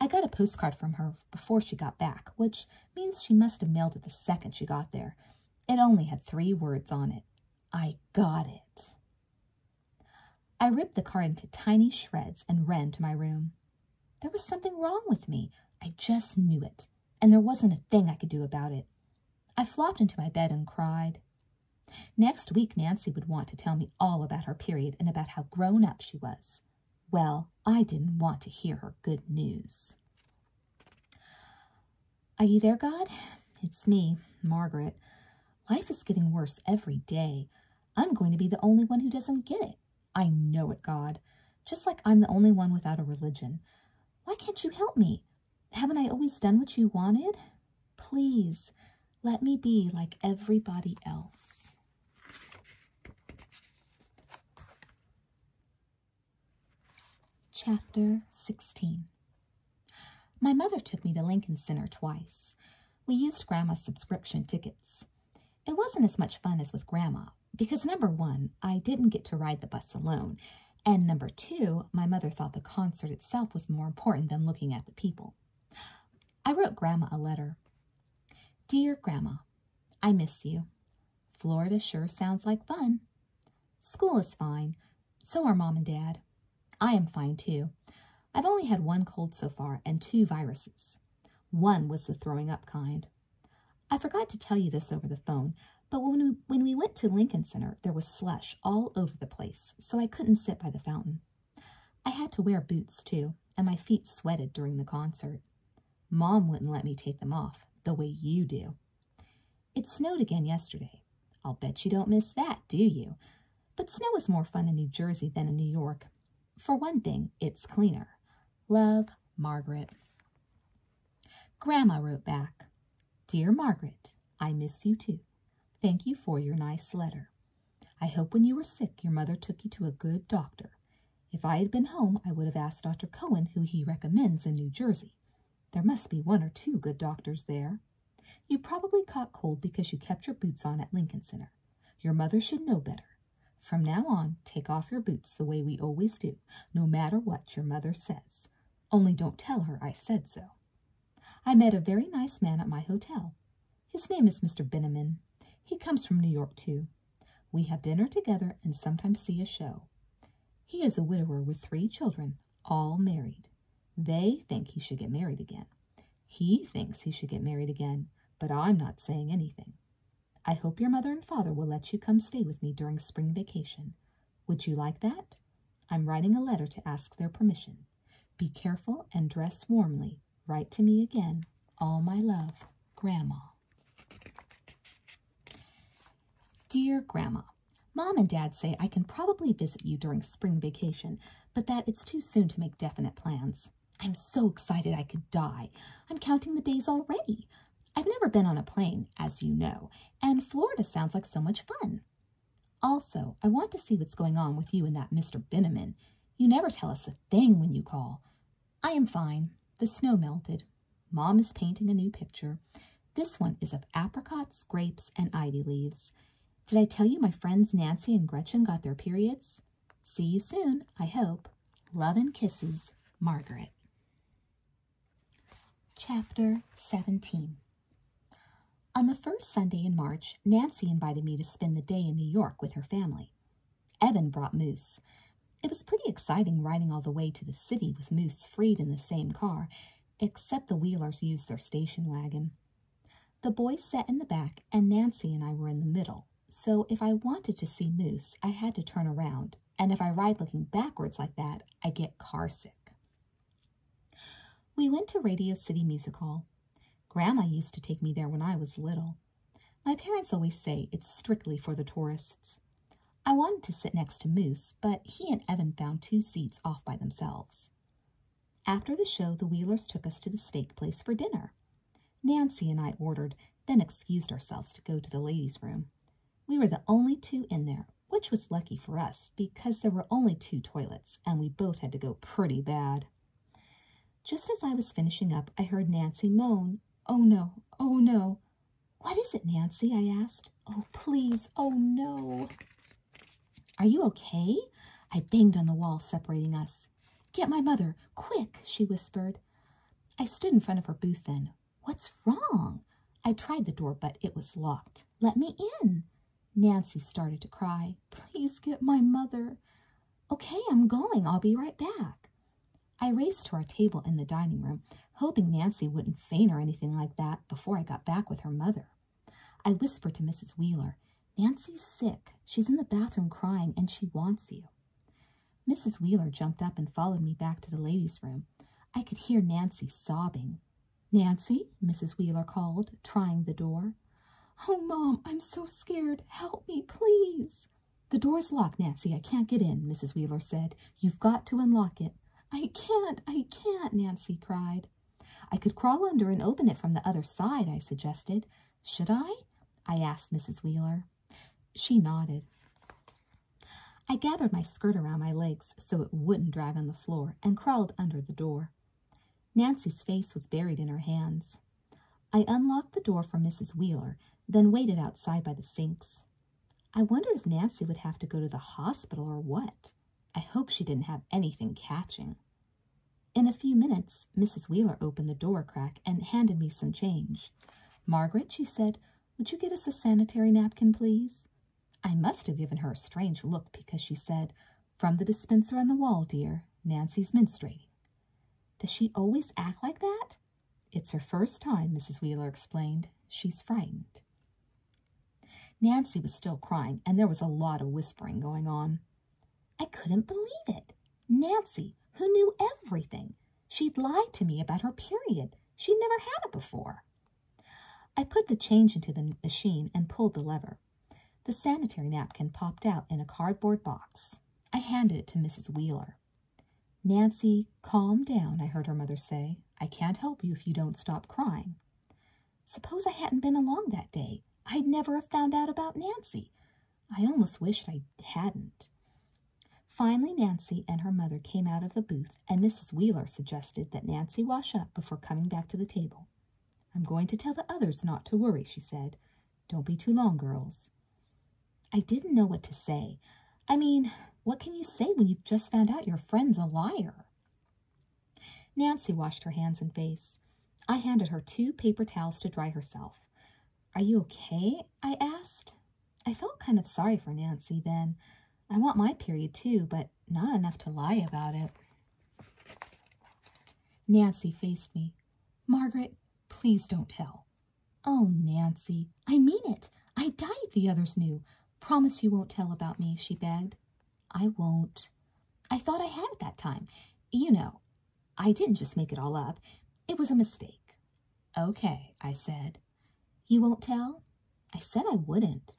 I got a postcard from her before she got back, which means she must have mailed it the second she got there. It only had three words on it. I got it. I ripped the card into tiny shreds and ran to my room. There was something wrong with me. I just knew it, and there wasn't a thing I could do about it. I flopped into my bed and cried. Next week, Nancy would want to tell me all about her period and about how grown up she was. Well, I didn't want to hear her good news. Are you there, God? It's me, Margaret. Life is getting worse every day. I'm going to be the only one who doesn't get it. I know it, God. Just like I'm the only one without a religion. Why can't you help me? Haven't I always done what you wanted? Please, let me be like everybody else. Chapter 16 My mother took me to Lincoln Center twice. We used Grandma's subscription tickets. It wasn't as much fun as with Grandma. Because number one, I didn't get to ride the bus alone. And number two, my mother thought the concert itself was more important than looking at the people. I wrote Grandma a letter. Dear Grandma, I miss you. Florida sure sounds like fun. School is fine. So are Mom and Dad. I am fine too. I've only had one cold so far and two viruses. One was the throwing up kind. I forgot to tell you this over the phone, but when we, went to Lincoln Center, there was slush all over the place, so I couldn't sit by the fountain. I had to wear boots, too, and my feet sweated during the concert. Mom wouldn't let me take them off, the way you do. It snowed again yesterday. I'll bet you don't miss that, do you? But snow is more fun in New Jersey than in New York. For one thing, it's cleaner. Love, Margaret. Grandma wrote back, Dear Margaret, I miss you too. Thank you for your nice letter. I hope when you were sick your mother took you to a good doctor. If I had been home, I would have asked Dr. Cohen who he recommends in New Jersey. There must be one or two good doctors there. You probably caught cold because you kept your boots on at Lincoln Center. Your mother should know better. From now on, take off your boots the way we always do, no matter what your mother says. Only don't tell her I said so. I met a very nice man at my hotel. His name is Mr. Benneman. He comes from New York, too. We have dinner together and sometimes see a show. He is a widower with three children, all married. They think he should get married again. He thinks he should get married again, but I'm not saying anything. I hope your mother and father will let you come stay with me during spring vacation. Would you like that? I'm writing a letter to ask their permission. Be careful and dress warmly. Write to me again. All my love, Grandma. Dear Grandma, Mom and Dad say I can probably visit you during spring vacation, but that it's too soon to make definite plans. I'm so excited I could die. I'm counting the days already. I've never been on a plane, as you know, and Florida sounds like so much fun. Also, I want to see what's going on with you and that Mr. Benneman. You never tell us a thing when you call. I am fine. The snow melted. Mom is painting a new picture. This one is of apricots, grapes, and ivy leaves. Did I tell you my friends Nancy and Gretchen got their periods? See you soon, I hope. Love and kisses, Margaret. Chapter 17 On the first Sunday in March, Nancy invited me to spend the day in New York with her family. Evan brought Moose. It was pretty exciting riding all the way to the city with Moose freed in the same car, except the Wheelers used their station wagon. The boys sat in the back, and Nancy and I were in the middle, so if I wanted to see Moose, I had to turn around, and if I ride looking backwards like that, I get car sick. We went to Radio City Music Hall. Grandma used to take me there when I was little. My parents always say it's strictly for the tourists. I wanted to sit next to Moose, but he and Evan found two seats off by themselves. After the show, the Wheelers took us to the steak place for dinner. Nancy and I ordered, then excused ourselves to go to the ladies' room. We were the only two in there, which was lucky for us because there were only two toilets and we both had to go pretty bad. Just as I was finishing up, I heard Nancy moan, Oh no, oh no. What is it, Nancy? I asked. Oh, please, oh no. Are you okay? I banged on the wall separating us. Get my mother, quick, she whispered. I stood in front of her booth then, What's wrong? I tried the door, but it was locked. Let me in. Nancy started to cry. Please get my mother. Okay, I'm going. I'll be right back. I raced to our table in the dining room, hoping Nancy wouldn't faint or anything like that before I got back with her mother. I whispered to Mrs. Wheeler, Nancy's sick. She's in the bathroom crying, and she wants you. Mrs. Wheeler jumped up and followed me back to the ladies' room. I could hear Nancy sobbing. Nancy, Mrs. Wheeler called, trying the door. Oh, Mom, I'm so scared. Help me, please. The door's locked, Nancy. I can't get in, Mrs. Wheeler said. You've got to unlock it. I can't, I can't, Nancy cried. I could crawl under and open it from the other side, I suggested. Should I? I asked Mrs. Wheeler. She nodded. I gathered my skirt around my legs so it wouldn't drag on the floor and crawled under the door. Nancy's face was buried in her hands. I unlocked the door for Mrs. Wheeler, then waited outside by the sinks. I wondered if Nancy would have to go to the hospital or what. I hope she didn't have anything catching. In a few minutes, Mrs. Wheeler opened the door crack and handed me some change. Margaret, she said, would you get us a sanitary napkin, please? I must have given her a strange look because she said, From the dispenser on the wall, dear, Nancy's menstruating. Does she always act like that? It's her first time, Mrs. Wheeler explained. She's frightened. Nancy was still crying, and there was a lot of whispering going on. I couldn't believe it. Nancy, who knew everything, She'd lied to me about her period. She'd never had it before. I put the change into the machine and pulled the lever. The sanitary napkin popped out in a cardboard box. I handed it to Mrs. Wheeler. Nancy, calm down, I heard her mother say. I can't help you if you don't stop crying. Suppose I hadn't been along that day. I'd never have found out about Nancy. I almost wished I hadn't. Finally, Nancy and her mother came out of the booth, and Mrs. Wheeler suggested that Nancy wash up before coming back to the table. I'm going to tell the others not to worry, she said. Don't be too long, girls. I didn't know what to say. I mean, what can you say when you've just found out your friend's a liar? Nancy washed her hands and face. I handed her two paper towels to dry herself. Are you okay? I asked. I felt kind of sorry for Nancy then. I want my period too, but not enough to lie about it. Nancy faced me. Margaret, please don't tell. Oh, Nancy, I mean it. I would die if the others knew. Promise you won't tell about me, she begged. I won't. I thought I had at that time. You know, I didn't just make it all up. It was a mistake. Okay, I said, you won't tell? I said I wouldn't.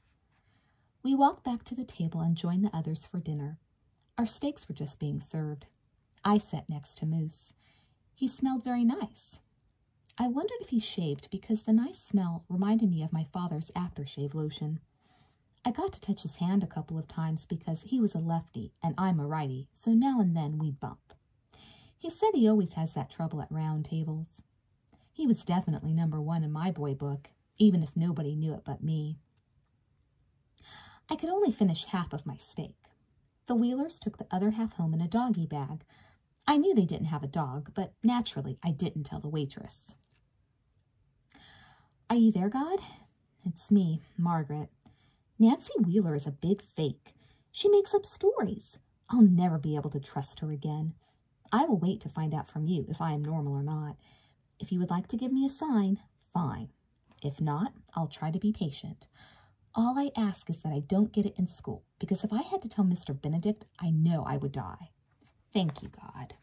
We walked back to the table and joined the others for dinner. Our steaks were just being served. I sat next to Moose. He smelled very nice. I wondered if he shaved because the nice smell reminded me of my father's aftershave lotion. I got to touch his hand a couple of times because he was a lefty and I'm a righty, so now and then we'd bump. He said he always has that trouble at round tables. He was definitely number one in my boy book, even if nobody knew it but me. I could only finish half of my steak. The Wheelers took the other half home in a doggy bag. I knew they didn't have a dog, but naturally I didn't tell the waitress. Are you there, God? It's me, Margaret. Nancy Wheeler is a big fake. She makes up stories. I'll never be able to trust her again. I will wait to find out from you if I am normal or not. If you would like to give me a sign, fine. If not, I'll try to be patient. All I ask is that I don't get it in school, because if I had to tell Mr. Benedict, I know I would die. Thank you, God.